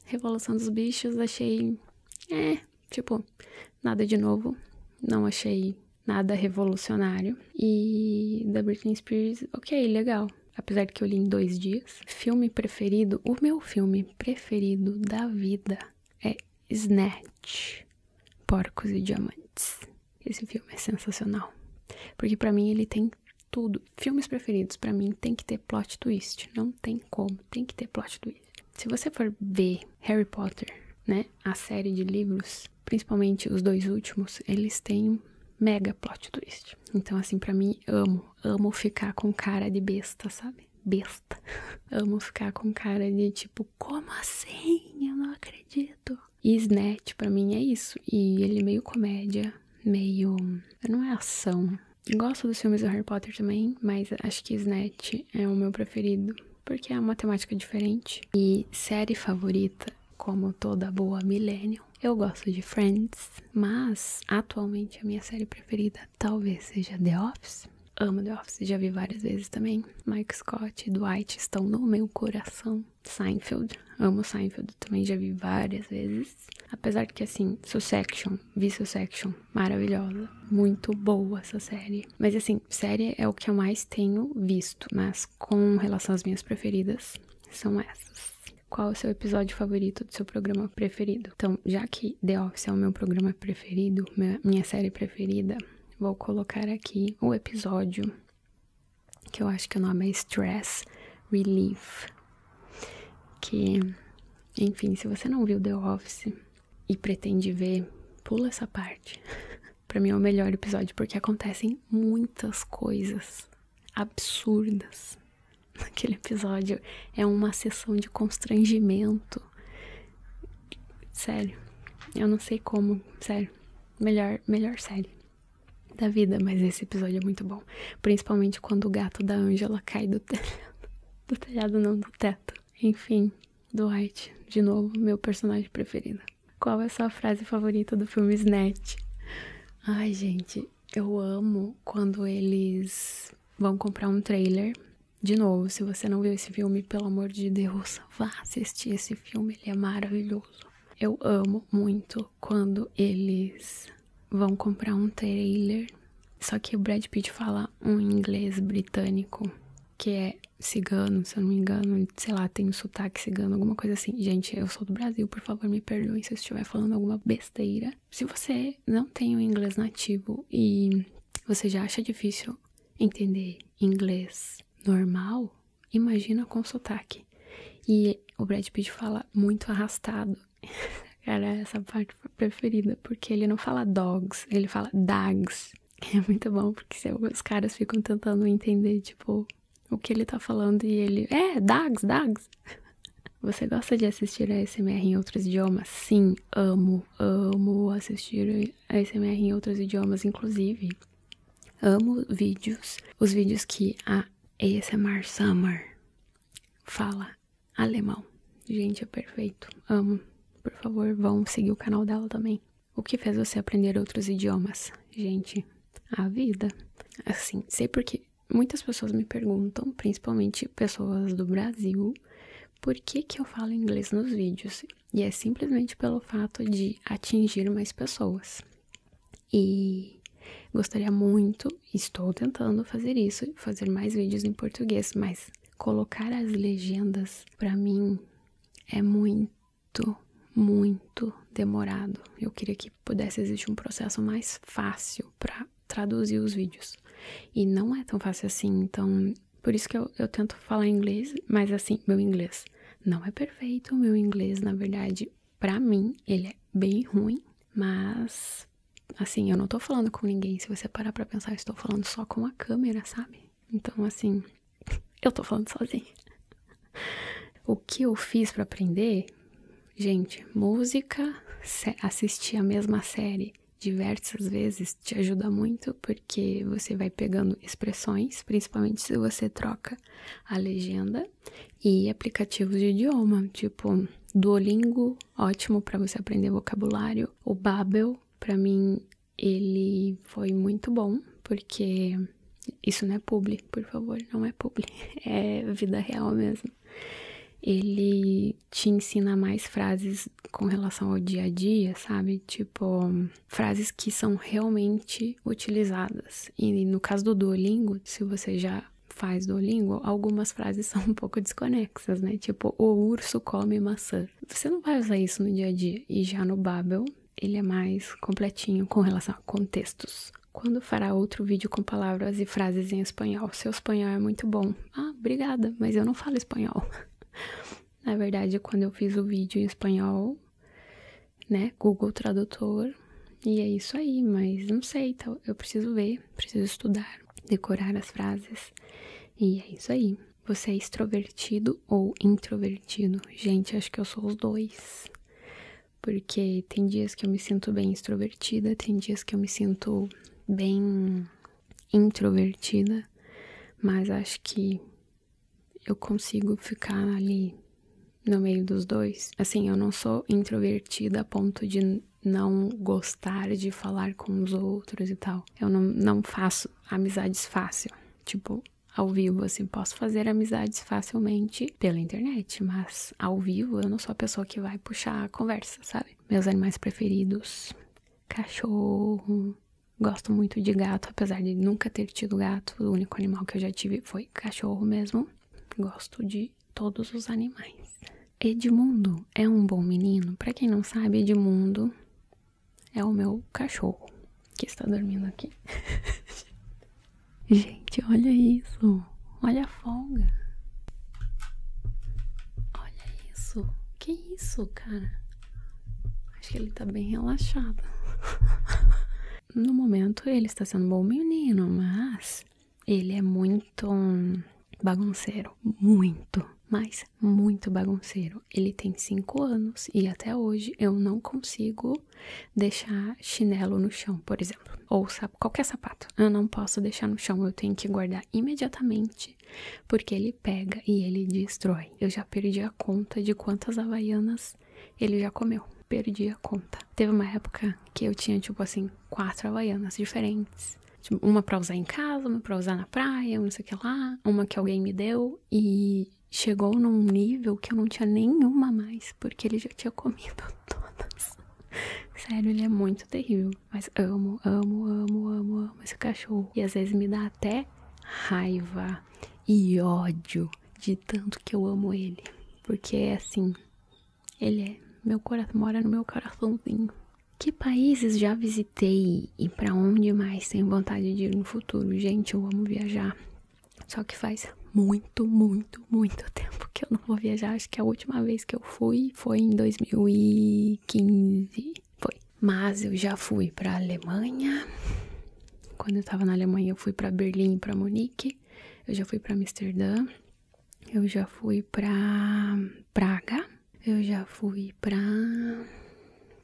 Revolução dos Bichos achei. É, Tipo, nada de novo. Não achei nada revolucionário. E *The Britney Spears, ok, legal. Apesar de que eu li em dois dias. Filme preferido, o meu filme preferido da vida é Snatch, Porcos e Diamantes. Esse filme é sensacional. Porque para mim ele tem tudo. Filmes preferidos para mim tem que ter plot twist, não tem como, tem que ter plot twist. Se você for ver Harry Potter, né, a série de livros, principalmente os dois últimos, eles têm mega plot twist. Então, assim, para mim, amo. Amo ficar com cara de besta, sabe? Besta. amo ficar com cara de tipo, como assim? Eu não acredito. E Snatch, pra mim, é isso. E ele é meio comédia, meio. Não é ação, Gosto dos filmes do Harry Potter também, mas acho que Snatch é o meu preferido, porque é uma temática diferente. E série favorita, como toda boa Millennium, eu gosto de Friends, mas atualmente a minha série preferida talvez seja The Office. Amo The Office, já vi várias vezes também. Mike Scott e Dwight estão no meu coração. Seinfeld, amo Seinfeld, também já vi várias vezes. Apesar de que, assim, Sussection, vi Sussection maravilhosa. Muito boa essa série. Mas assim, série é o que eu mais tenho visto, mas com relação às minhas preferidas, são essas. Qual é o seu episódio favorito do seu programa preferido? Então, já que The Office é o meu programa preferido, minha série preferida, vou colocar aqui o episódio que eu acho que o nome é Stress Relief. Que, enfim, se você não viu The Office, e pretende ver, pula essa parte. para mim é o melhor episódio porque acontecem muitas coisas absurdas. Naquele episódio é uma sessão de constrangimento. Sério, eu não sei como, sério. Melhor, melhor série da vida, mas esse episódio é muito bom, principalmente quando o gato da Angela cai do telhado, do telhado não do teto. Enfim, Dwight, de novo, meu personagem preferido. Qual é a sua frase favorita do filme Snatch? Ai, gente, eu amo quando eles vão comprar um trailer. De novo, se você não viu esse filme, pelo amor de Deus, vá assistir esse filme, ele é maravilhoso. Eu amo muito quando eles vão comprar um trailer só que o Brad Pitt fala um inglês britânico que é cigano, se eu não me engano, sei lá, tem um sotaque cigano, alguma coisa assim. Gente, eu sou do Brasil, por favor, me perdoem se eu estiver falando alguma besteira. Se você não tem um inglês nativo e você já acha difícil entender inglês normal, imagina com sotaque. E o Brad Pitt fala muito arrastado. Cara, essa parte preferida, porque ele não fala dogs, ele fala dags. É muito bom, porque os caras ficam tentando entender, tipo, o que ele tá falando e ele. É, dags, dags. Você gosta de assistir a SMR em outros idiomas? Sim, amo, amo assistir a SMR em outros idiomas, inclusive. Amo vídeos, os vídeos que a ASMR Summer fala alemão. Gente, é perfeito. Amo. Por favor, vão seguir o canal dela também. O que fez você aprender outros idiomas? Gente, a vida. Assim, sei porque muitas pessoas me perguntam, principalmente pessoas do Brasil, por que, que eu falo inglês nos vídeos. E é simplesmente pelo fato de atingir mais pessoas. E gostaria muito, estou tentando fazer isso, fazer mais vídeos em português, mas Colocar as legendas para mim é muito, muito demorado. Eu queria que pudesse existir um processo mais fácil para traduzir os vídeos. E não é tão fácil assim, então por isso que eu, tento falar inglês, mas assim, meu inglês não é perfeito, meu inglês, na verdade, para mim, ele é bem ruim, mas Assim, eu não tô falando com ninguém. Se você parar pra pensar, eu estou falando só com a câmera, sabe? Então, assim, eu tô falando sozinho O que eu fiz para aprender? Gente, música, assistir a mesma série diversas vezes te ajuda muito porque você vai pegando expressões, principalmente se você troca a legenda e aplicativos de idioma, tipo Duolingo, ótimo para você aprender vocabulário, o Babel, para mim ele foi muito bom, porque isso não é publi, por favor, não é publi, é vida real mesmo. Ele te ensina mais frases com relação ao dia a dia, sabe? Tipo, frases que são realmente utilizadas. E no caso do Duolingo, se você já faz Duolingo, algumas frases são um pouco desconexas, né? Tipo, o urso come maçã você não vai usar isso no dia a dia. E já no Babel, ele é mais completinho com relação a contextos. Quando fará outro vídeo com palavras e frases em espanhol? Seu espanhol é muito bom. Ah, obrigada, mas eu não falo espanhol. Na verdade, quando eu fiz o vídeo em espanhol, né, Google Tradutor, e é isso aí, mas não sei, então eu preciso ver, preciso estudar, decorar as frases, e é isso aí. Você é extrovertido ou introvertido? Gente, acho que eu sou os dois. Porque tem dias que eu me sinto bem extrovertida, tem dias que eu me sinto bem introvertida, mas acho que eu consigo ficar ali no meio dos dois. Assim, eu não sou introvertida a ponto de não gostar de falar com os outros e tal. Eu não, faço amizades fácil. Tipo, ao vivo, assim, posso fazer amizades facilmente pela internet, mas ao vivo eu não sou a pessoa que vai puxar a conversa, sabe? Meus animais preferidos: cachorro. Gosto muito de gato, apesar de nunca ter tido gato. O único animal que eu já tive foi cachorro mesmo. Gosto de todos os animais. Edmundo é um bom menino. Para quem não sabe, Edmundo é o meu cachorro que está dormindo aqui. Gente, olha isso. Olha a folga. Olha isso. Que isso, cara? Acho que ele está bem relaxado. no momento ele está sendo bom menino, mas ele é muito hum, bagunceiro muito, mas muito bagunceiro. Ele tem 5 anos e até hoje eu não consigo deixar chinelo no chão, por exemplo, ou qualquer sapato. Eu não posso deixar no chão, eu tenho que guardar imediatamente, porque ele pega e ele destrói. Eu já perdi a conta de quantas havaianas ele já comeu. Perdi a conta. Teve uma época que eu tinha, tipo assim, quatro havaianas diferentes. Tipo, uma pra usar em casa, uma pra usar na praia, não sei o que lá, uma que alguém me deu e chegou num nível que eu não tinha nenhuma mais, porque ele já tinha comido todas. Sério, ele é muito terrível. Mas amo, amo, amo, amo, amo esse cachorro. E às vezes me dá até raiva e ódio de tanto que eu amo ele. Porque é assim, ele é. Meu coração mora no meu coraçãozinho. Que países já visitei e para onde mais tenho vontade de ir no futuro? Gente, eu amo viajar. Só que faz muito, muito, muito tempo que eu não vou viajar. Acho que a última vez que eu fui foi em 2015. Foi. Mas eu já fui para Alemanha. Quando eu tava na Alemanha, eu fui para Berlim, para Munique. Eu já fui para Amsterdã. Eu já fui para Praga, eu já fui para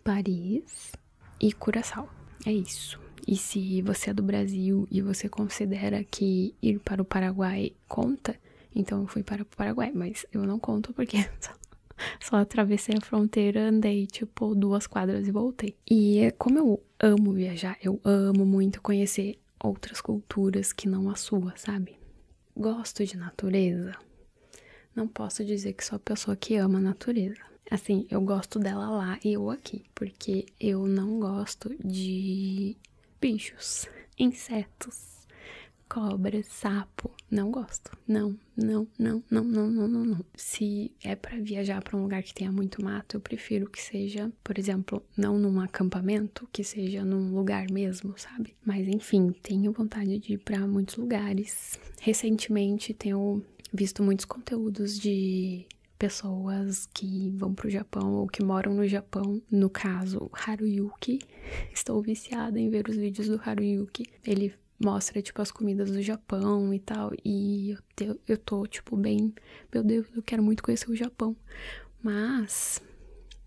Paris e Curaçao. É isso. E se você é do Brasil e você considera que ir para o Paraguai conta, então eu fui para o Paraguai, mas eu não conto porque só, só atravessei a fronteira, andei tipo duas quadras e voltei. E é como eu amo viajar, eu amo muito conhecer outras culturas que não a sua, sabe? gosto de natureza, não posso dizer que sou a pessoa que ama a natureza. Assim, eu gosto dela lá e eu aqui, porque eu não gosto de bichos, insetos, cobras, sapo. Não gosto. Não, não, não, não, não, não, não, não. Se é para viajar para um lugar que tenha muito mato, eu prefiro que seja, por exemplo, não num acampamento, que seja num lugar mesmo, sabe? Mas enfim, tenho vontade de ir para muitos lugares. Recentemente tenho visto muitos conteúdos de pessoas que vão para o Japão ou que moram no Japão, no caso Haruyuki. Estou viciada em ver os vídeos do Haruyuki. Ele mostra tipo as comidas do Japão e tal, e eu, eu tô tipo bem, meu Deus, eu quero muito conhecer o Japão. Mas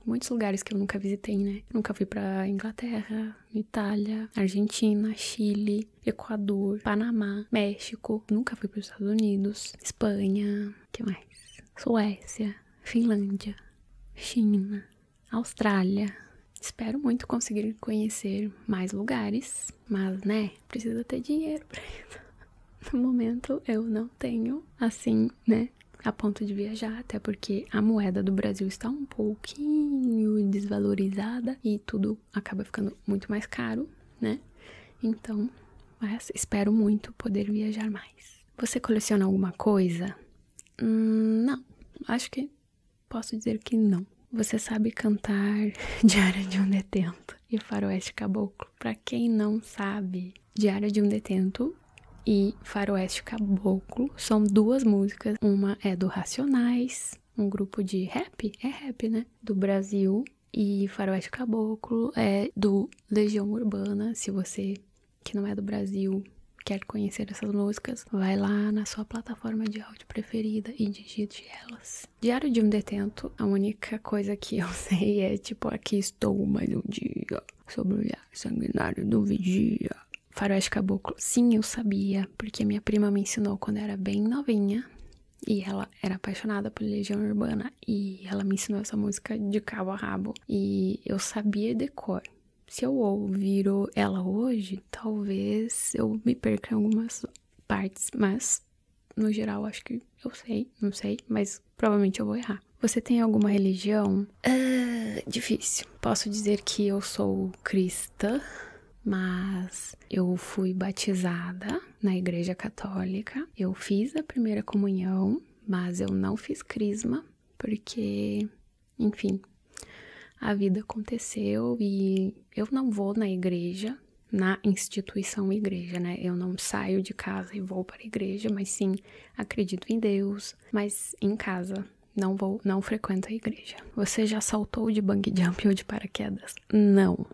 muitos lugares que eu nunca visitei, né? Nunca fui para Inglaterra, Itália, Argentina, Chile, Equador, Panamá, México. Nunca fui para os Estados Unidos, Espanha, que mais? Suécia, Finlândia, China, Austrália. Espero muito conseguir conhecer mais lugares, mas né, precisa ter dinheiro para isso. No momento eu não tenho, assim, né, a ponto de viajar, até porque a moeda do Brasil está um pouco pouquinho desvalorizada e tudo acaba ficando muito mais caro, né? Então, assim. espero muito poder viajar mais. Você coleciona alguma coisa? Hum, não, acho que posso dizer que não. Você sabe cantar Diário de um Detento e Faroeste Caboclo. Para quem não sabe, Diário de um Detento e Faroeste Caboclo. São duas músicas. Uma é do Racionais, um grupo de rap, é rap, né? Do Brasil. E Faroeste Caboclo é do Legião Urbana. Se você que não é do Brasil quer conhecer essas músicas, vai lá na sua plataforma de áudio preferida e digite elas. Diário de um Detento, a única coisa que eu sei é tipo, aqui estou mais um dia, sobre o olhar sanguinário do vigia faroeste caboclo. Sim, eu sabia, porque minha prima me ensinou quando era bem novinha. E ela era apaixonada por Legião Urbana e ela me ensinou essa música de cabo a rabo. E eu sabia decor. Se eu ouvir ela hoje, talvez eu me perca em algumas partes, mas no geral acho que eu sei, não sei, mas provavelmente eu vou errar. Você tem alguma religião? Ah, difícil. Posso dizer que eu sou cristã, mas eu fui batizada na Igreja Católica. Eu fiz a primeira comunhão, mas eu não fiz crisma, porque, enfim, a vida aconteceu e eu não vou na igreja, na instituição igreja, né? Eu não saio de casa e vou para a igreja, mas sim acredito em Deus, mas em casa não vou, não frequento a igreja. Você já saltou de bang jump ou de paraquedas? Não.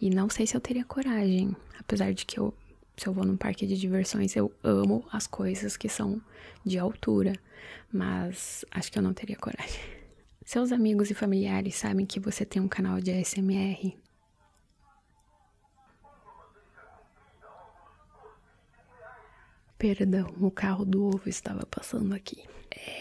E não sei se eu teria coragem, apesar de que eu, se eu vou num parque de diversões, eu amo as coisas que são de altura, mas acho que eu não teria coragem. Seus amigos e familiares sabem que você tem um canal de ASMR? Perdão, o carro do ovo estava passando aqui.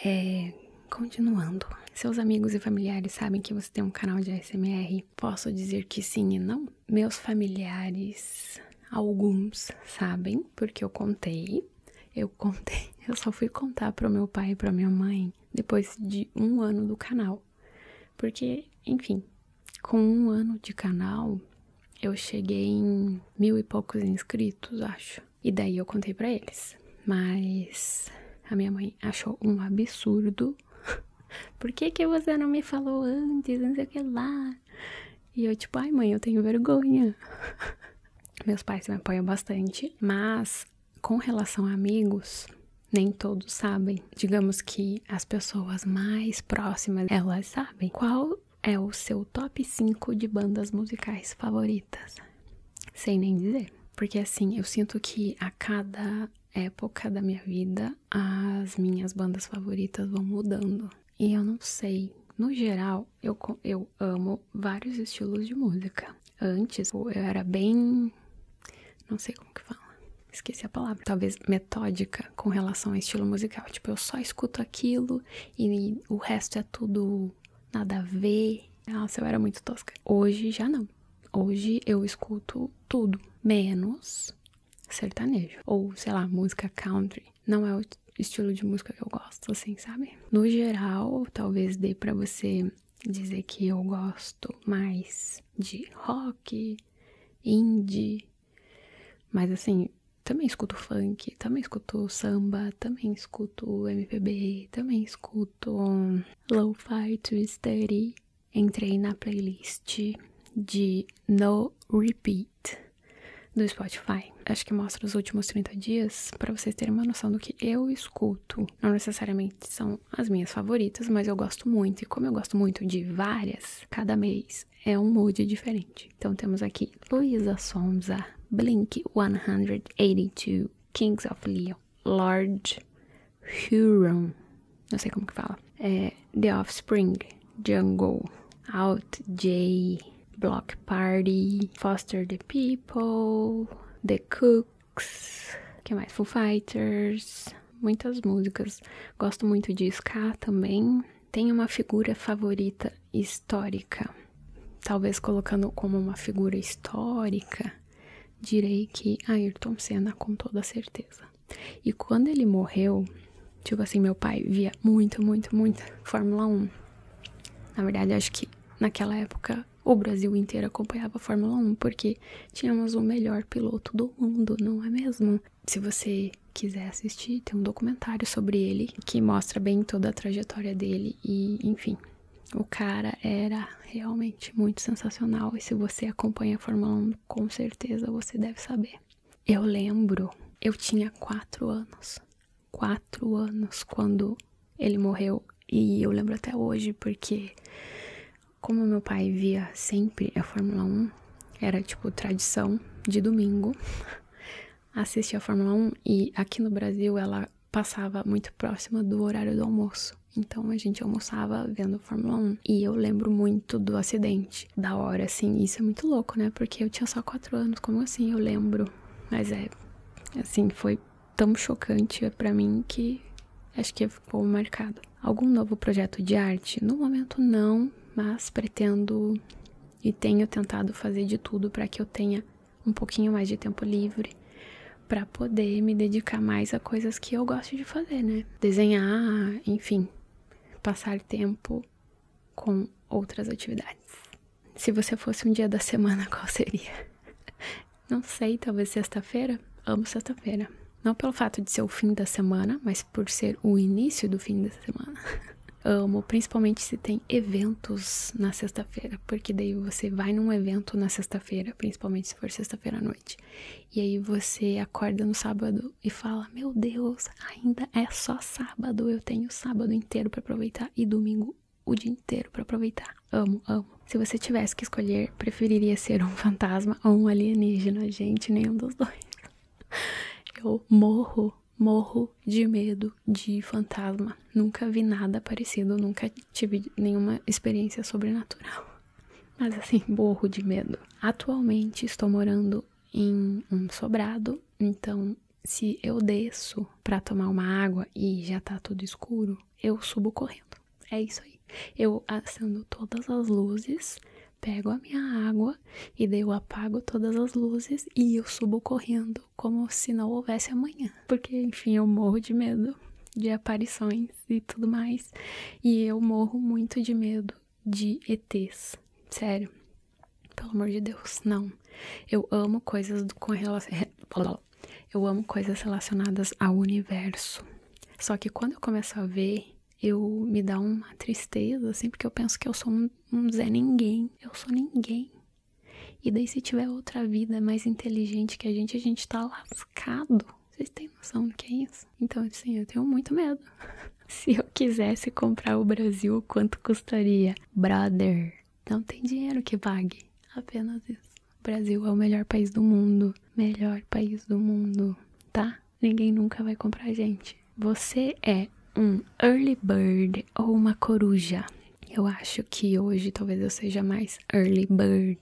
É, continuando. Seus amigos e familiares sabem que você tem um canal de ASMR? Posso dizer que sim e não? Meus familiares, alguns sabem, porque eu contei. Eu contei, eu só fui contar pro meu pai e pra minha mãe depois de um ano do canal. Porque, enfim, com um ano de canal, eu cheguei em mil e poucos inscritos, acho. E daí eu contei para eles. Mas a minha mãe achou um absurdo. Por que, que você não me falou antes? Não sei o que lá. E eu, tipo, ai mãe, eu tenho vergonha. Meus pais me apoiam bastante. Mas com relação a amigos, nem todos sabem. Digamos que as pessoas mais próximas, elas sabem. Qual é o seu top 5 de bandas musicais favoritas? Sem nem dizer. Porque assim, eu sinto que a cada época da minha vida as minhas bandas favoritas vão mudando. E eu não sei. No geral, eu, eu amo vários estilos de música. Antes, eu era bem. Não sei como que fala esqueci a palavra, talvez metódica com relação ao estilo musical. Tipo, eu só escuto aquilo e o resto é tudo nada a ver. Nossa, eu era muito tosca. Hoje já não. Hoje eu escuto tudo, menos sertanejo. Ou, sei lá, música country. Não é o estilo de música que eu gosto, assim, sabe? No geral, talvez dê para você dizer que eu gosto mais de rock, indie, mas assim, também escuto funk, também escuto samba, também escuto MPB, também escuto lo-fi twistery. Entrei na playlist de No Repeat do Spotify. Acho que mostra os últimos 30 dias para vocês terem uma noção do que eu escuto. Não necessariamente são as minhas favoritas, mas eu gosto muito. E como eu gosto muito de várias, cada mês é um mood diferente. Então temos aqui Luísa Sonza, Blink 182, Kings of Leon, Lord Huron, não sei como que fala, é, The Offspring, Jungle, Out J, Block Party, Foster the People, The Cooks, que mais? Foo Fighters, muitas músicas. Gosto muito de ska também. Tem uma figura favorita histórica. Talvez colocando como uma figura histórica, direi que Ayrton Senna com toda certeza. E quando ele morreu, tipo assim, meu pai via muito, muito, muito Fórmula 1. Na verdade, acho que naquela época o Brasil inteiro acompanhava a Fórmula 1 porque tínhamos o melhor piloto do mundo, não é mesmo? Se você quiser assistir, tem um documentário sobre ele que mostra bem toda a trajetória dele e, enfim, o cara era realmente muito sensacional e se você acompanha a Fórmula 1, com certeza você deve saber. Eu lembro, eu tinha quatro anos, quatro anos quando ele morreu e eu lembro até hoje porque como meu pai via sempre a Fórmula 1, era tipo tradição de domingo assistir a Fórmula 1 e aqui no Brasil ela passava muito próxima do horário do almoço. Então a gente almoçava vendo a Fórmula 1. E eu lembro muito do acidente, da hora, assim. Isso é muito louco, né? Porque eu tinha só 4 anos, como assim eu lembro? Mas é, assim, foi tão chocante para mim que acho que ficou marcado. Algum novo projeto de arte? No momento não, mas pretendo e tenho tentado fazer de tudo para que eu tenha um pouquinho mais de tempo livre para poder me dedicar mais a coisas que eu gosto de fazer, né? Desenhar, enfim, passar tempo com outras atividades. Se você fosse um dia da semana, qual seria? Não sei, talvez sexta-feira. Amo sexta-feira. Não pelo fato de ser o fim da semana, mas por ser o início do fim da semana. Amo, principalmente se tem eventos na sexta-feira, porque daí você vai num evento na sexta-feira, principalmente se for sexta-feira à noite. E aí você acorda no sábado e fala: "Meu Deus, ainda é só sábado, eu tenho sábado inteiro para aproveitar e domingo o dia inteiro para aproveitar". Amo, amo. Se você tivesse que escolher, preferiria ser um fantasma ou um alienígena? Gente, nenhum dos dois. Eu morro morro de medo de fantasma. Nunca vi nada parecido, nunca tive nenhuma experiência sobrenatural. Mas assim, morro de medo. Atualmente estou morando em um sobrado, então se eu desço para tomar uma água e já está tudo escuro, eu subo correndo. É isso aí. Eu acendo todas as luzes, pego a minha água e daí apago todas as luzes e eu subo correndo como se não houvesse amanhã. Porque, enfim, eu morro de medo de aparições e tudo mais. E eu morro muito de medo de ETs. Sério. Pelo amor de Deus, não. Eu amo coisas com relação. Eu amo coisas relacionadas ao universo. Só que quando eu começo a ver, eu me dá uma tristeza, assim, porque eu penso que eu sou um Zé Ninguém. Eu sou ninguém. E daí, se tiver outra vida mais inteligente que a gente, a gente tá lascado. Vocês têm noção do que é isso? Então, assim, eu tenho muito medo. se eu quisesse comprar o Brasil, quanto custaria? Brother, não tem dinheiro que pague. Apenas isso. O Brasil é o melhor país do mundo. Melhor país do mundo, tá? Ninguém nunca vai comprar a gente. Você é um early bird ou uma coruja. Eu acho que hoje talvez eu seja mais early bird.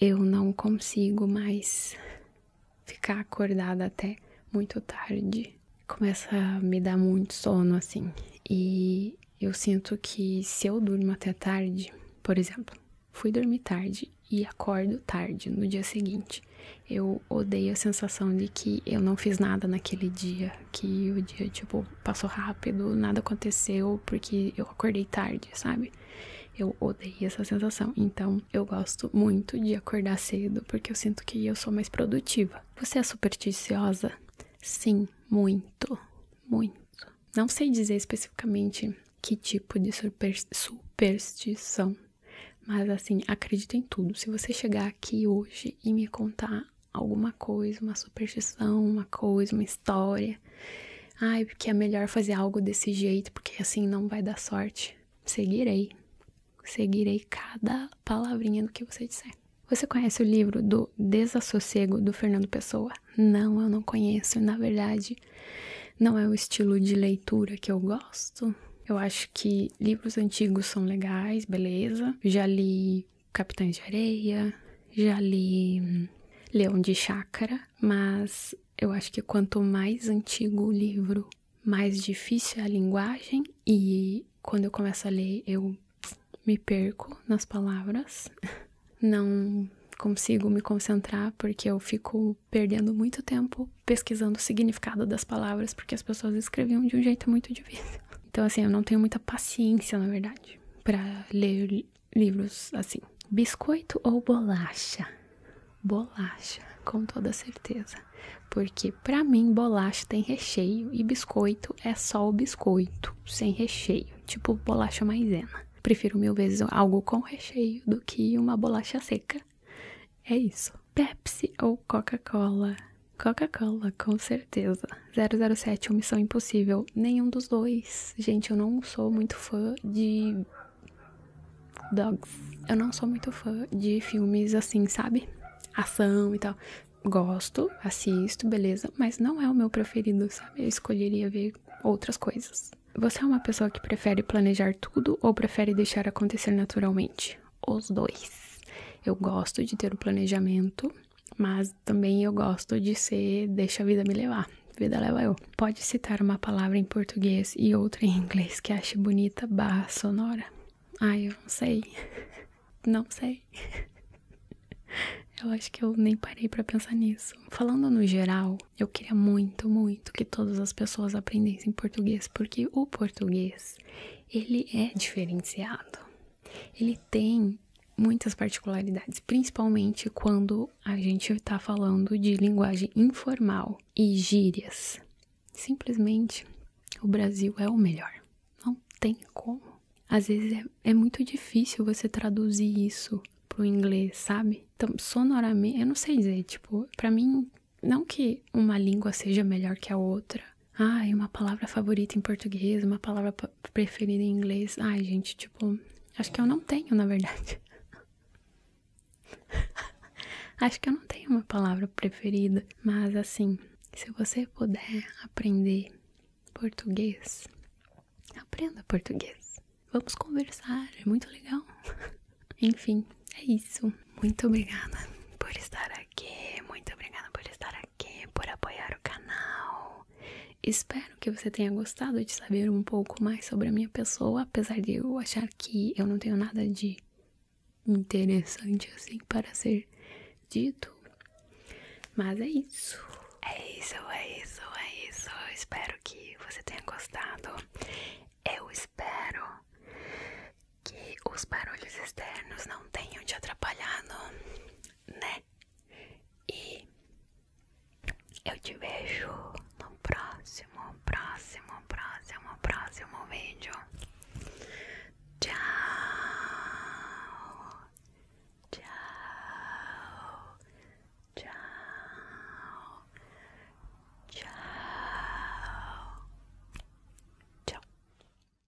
Eu não consigo mais ficar acordada até muito tarde. Começa a me dar muito sono assim. E eu sinto que se eu durmo até tarde, por exemplo, fui dormir tarde e acordo tarde no dia seguinte. Eu odeio a sensação de que eu não fiz nada naquele dia, que o dia, tipo, passou rápido, nada aconteceu, porque eu acordei tarde, sabe? Eu odeio essa sensação. Então, eu gosto muito de acordar cedo, porque eu sinto que eu sou mais produtiva. Você é supersticiosa? Sim, muito, muito. Não sei dizer especificamente que tipo de super, superstição, mas assim, acredito em tudo. Se você chegar aqui hoje e me contar alguma coisa, uma superstição, uma coisa, uma história. Ai, porque é melhor fazer algo desse jeito, porque assim não vai dar sorte. Seguirei. Seguirei cada palavrinha do que você disser. Você conhece o livro do Desassossego do Fernando Pessoa? Não, eu não conheço. Na verdade, não é o estilo de leitura que eu gosto. Eu acho que livros antigos são legais, beleza. Já li Capitães de Areia, já li hum, Leão de Chácara, mas eu acho que quanto mais antigo o livro, mais difícil é a linguagem e quando eu começo a ler eu me perco nas palavras, não consigo me concentrar porque eu fico perdendo muito tempo pesquisando o significado das palavras porque as pessoas escreviam de um jeito muito difícil. Então, assim, eu não tenho muita paciência, na verdade, para ler livros assim. Biscoito ou bolacha? Bolacha, com toda certeza. Porque para mim bolacha tem recheio e biscoito é só o biscoito, sem recheio, tipo bolacha maisena. Prefiro mil vezes algo com recheio do que uma bolacha seca. É isso. Pepsi ou Coca-Cola? Coca-Cola, com certeza. 007 ou Missão Impossível. Nenhum dos dois. Gente, eu não sou muito fã de. Dogs. Eu não sou muito fã de filmes assim, sabe? Ação e tal. Gosto, assisto, beleza, mas não é o meu preferido, sabe? Eu escolheria ver outras coisas. Você é uma pessoa que prefere planejar tudo ou prefere deixar acontecer naturalmente? os dois. Eu gosto de ter o um planejamento, mas também eu gosto de ser deixa a vida me levar. Vida leva eu. Pode citar uma palavra em português e outra em inglês que ache bonita barra sonora? Ai, eu não sei. Não sei. Eu acho que eu nem parei para pensar nisso. Falando no geral, eu queria muito, muito que todas as pessoas aprendessem português, porque o português, ele é diferenciado ele tem muitas particularidades, principalmente quando a gente está falando de linguagem informal e gírias. Simplesmente o Brasil é o melhor. Não tem como. Às vezes é, é muito difícil você traduzir isso pro inglês, sabe? Então, sonoramente, eu não sei dizer, tipo, para mim, não que uma língua seja melhor que a outra, Ai, uma palavra favorita em português, uma palavra preferida em inglês. Ai, gente, tipo, acho que eu não tenho, na verdade. acho que eu não tenho uma palavra preferida, mas assim, se você puder aprender português, aprenda português. Vamos conversar, é muito legal. Enfim, é isso. Muito obrigada por estar aqui. Muito obrigada por estar aqui por apoiar o canal. Espero que você tenha gostado de saber um pouco mais sobre a minha pessoa, apesar de eu achar que eu não tenho nada de interessante assim para ser dito. Mas é isso. É isso, é isso, é isso. espero que você tenha gostado. Eu espero que os barulhos externos não tenham te atrapalhado né? E eu te vejo no próximo, próximo, próximo, próximo vídeo. Tchau, tchau, tchau, tchau, tchau.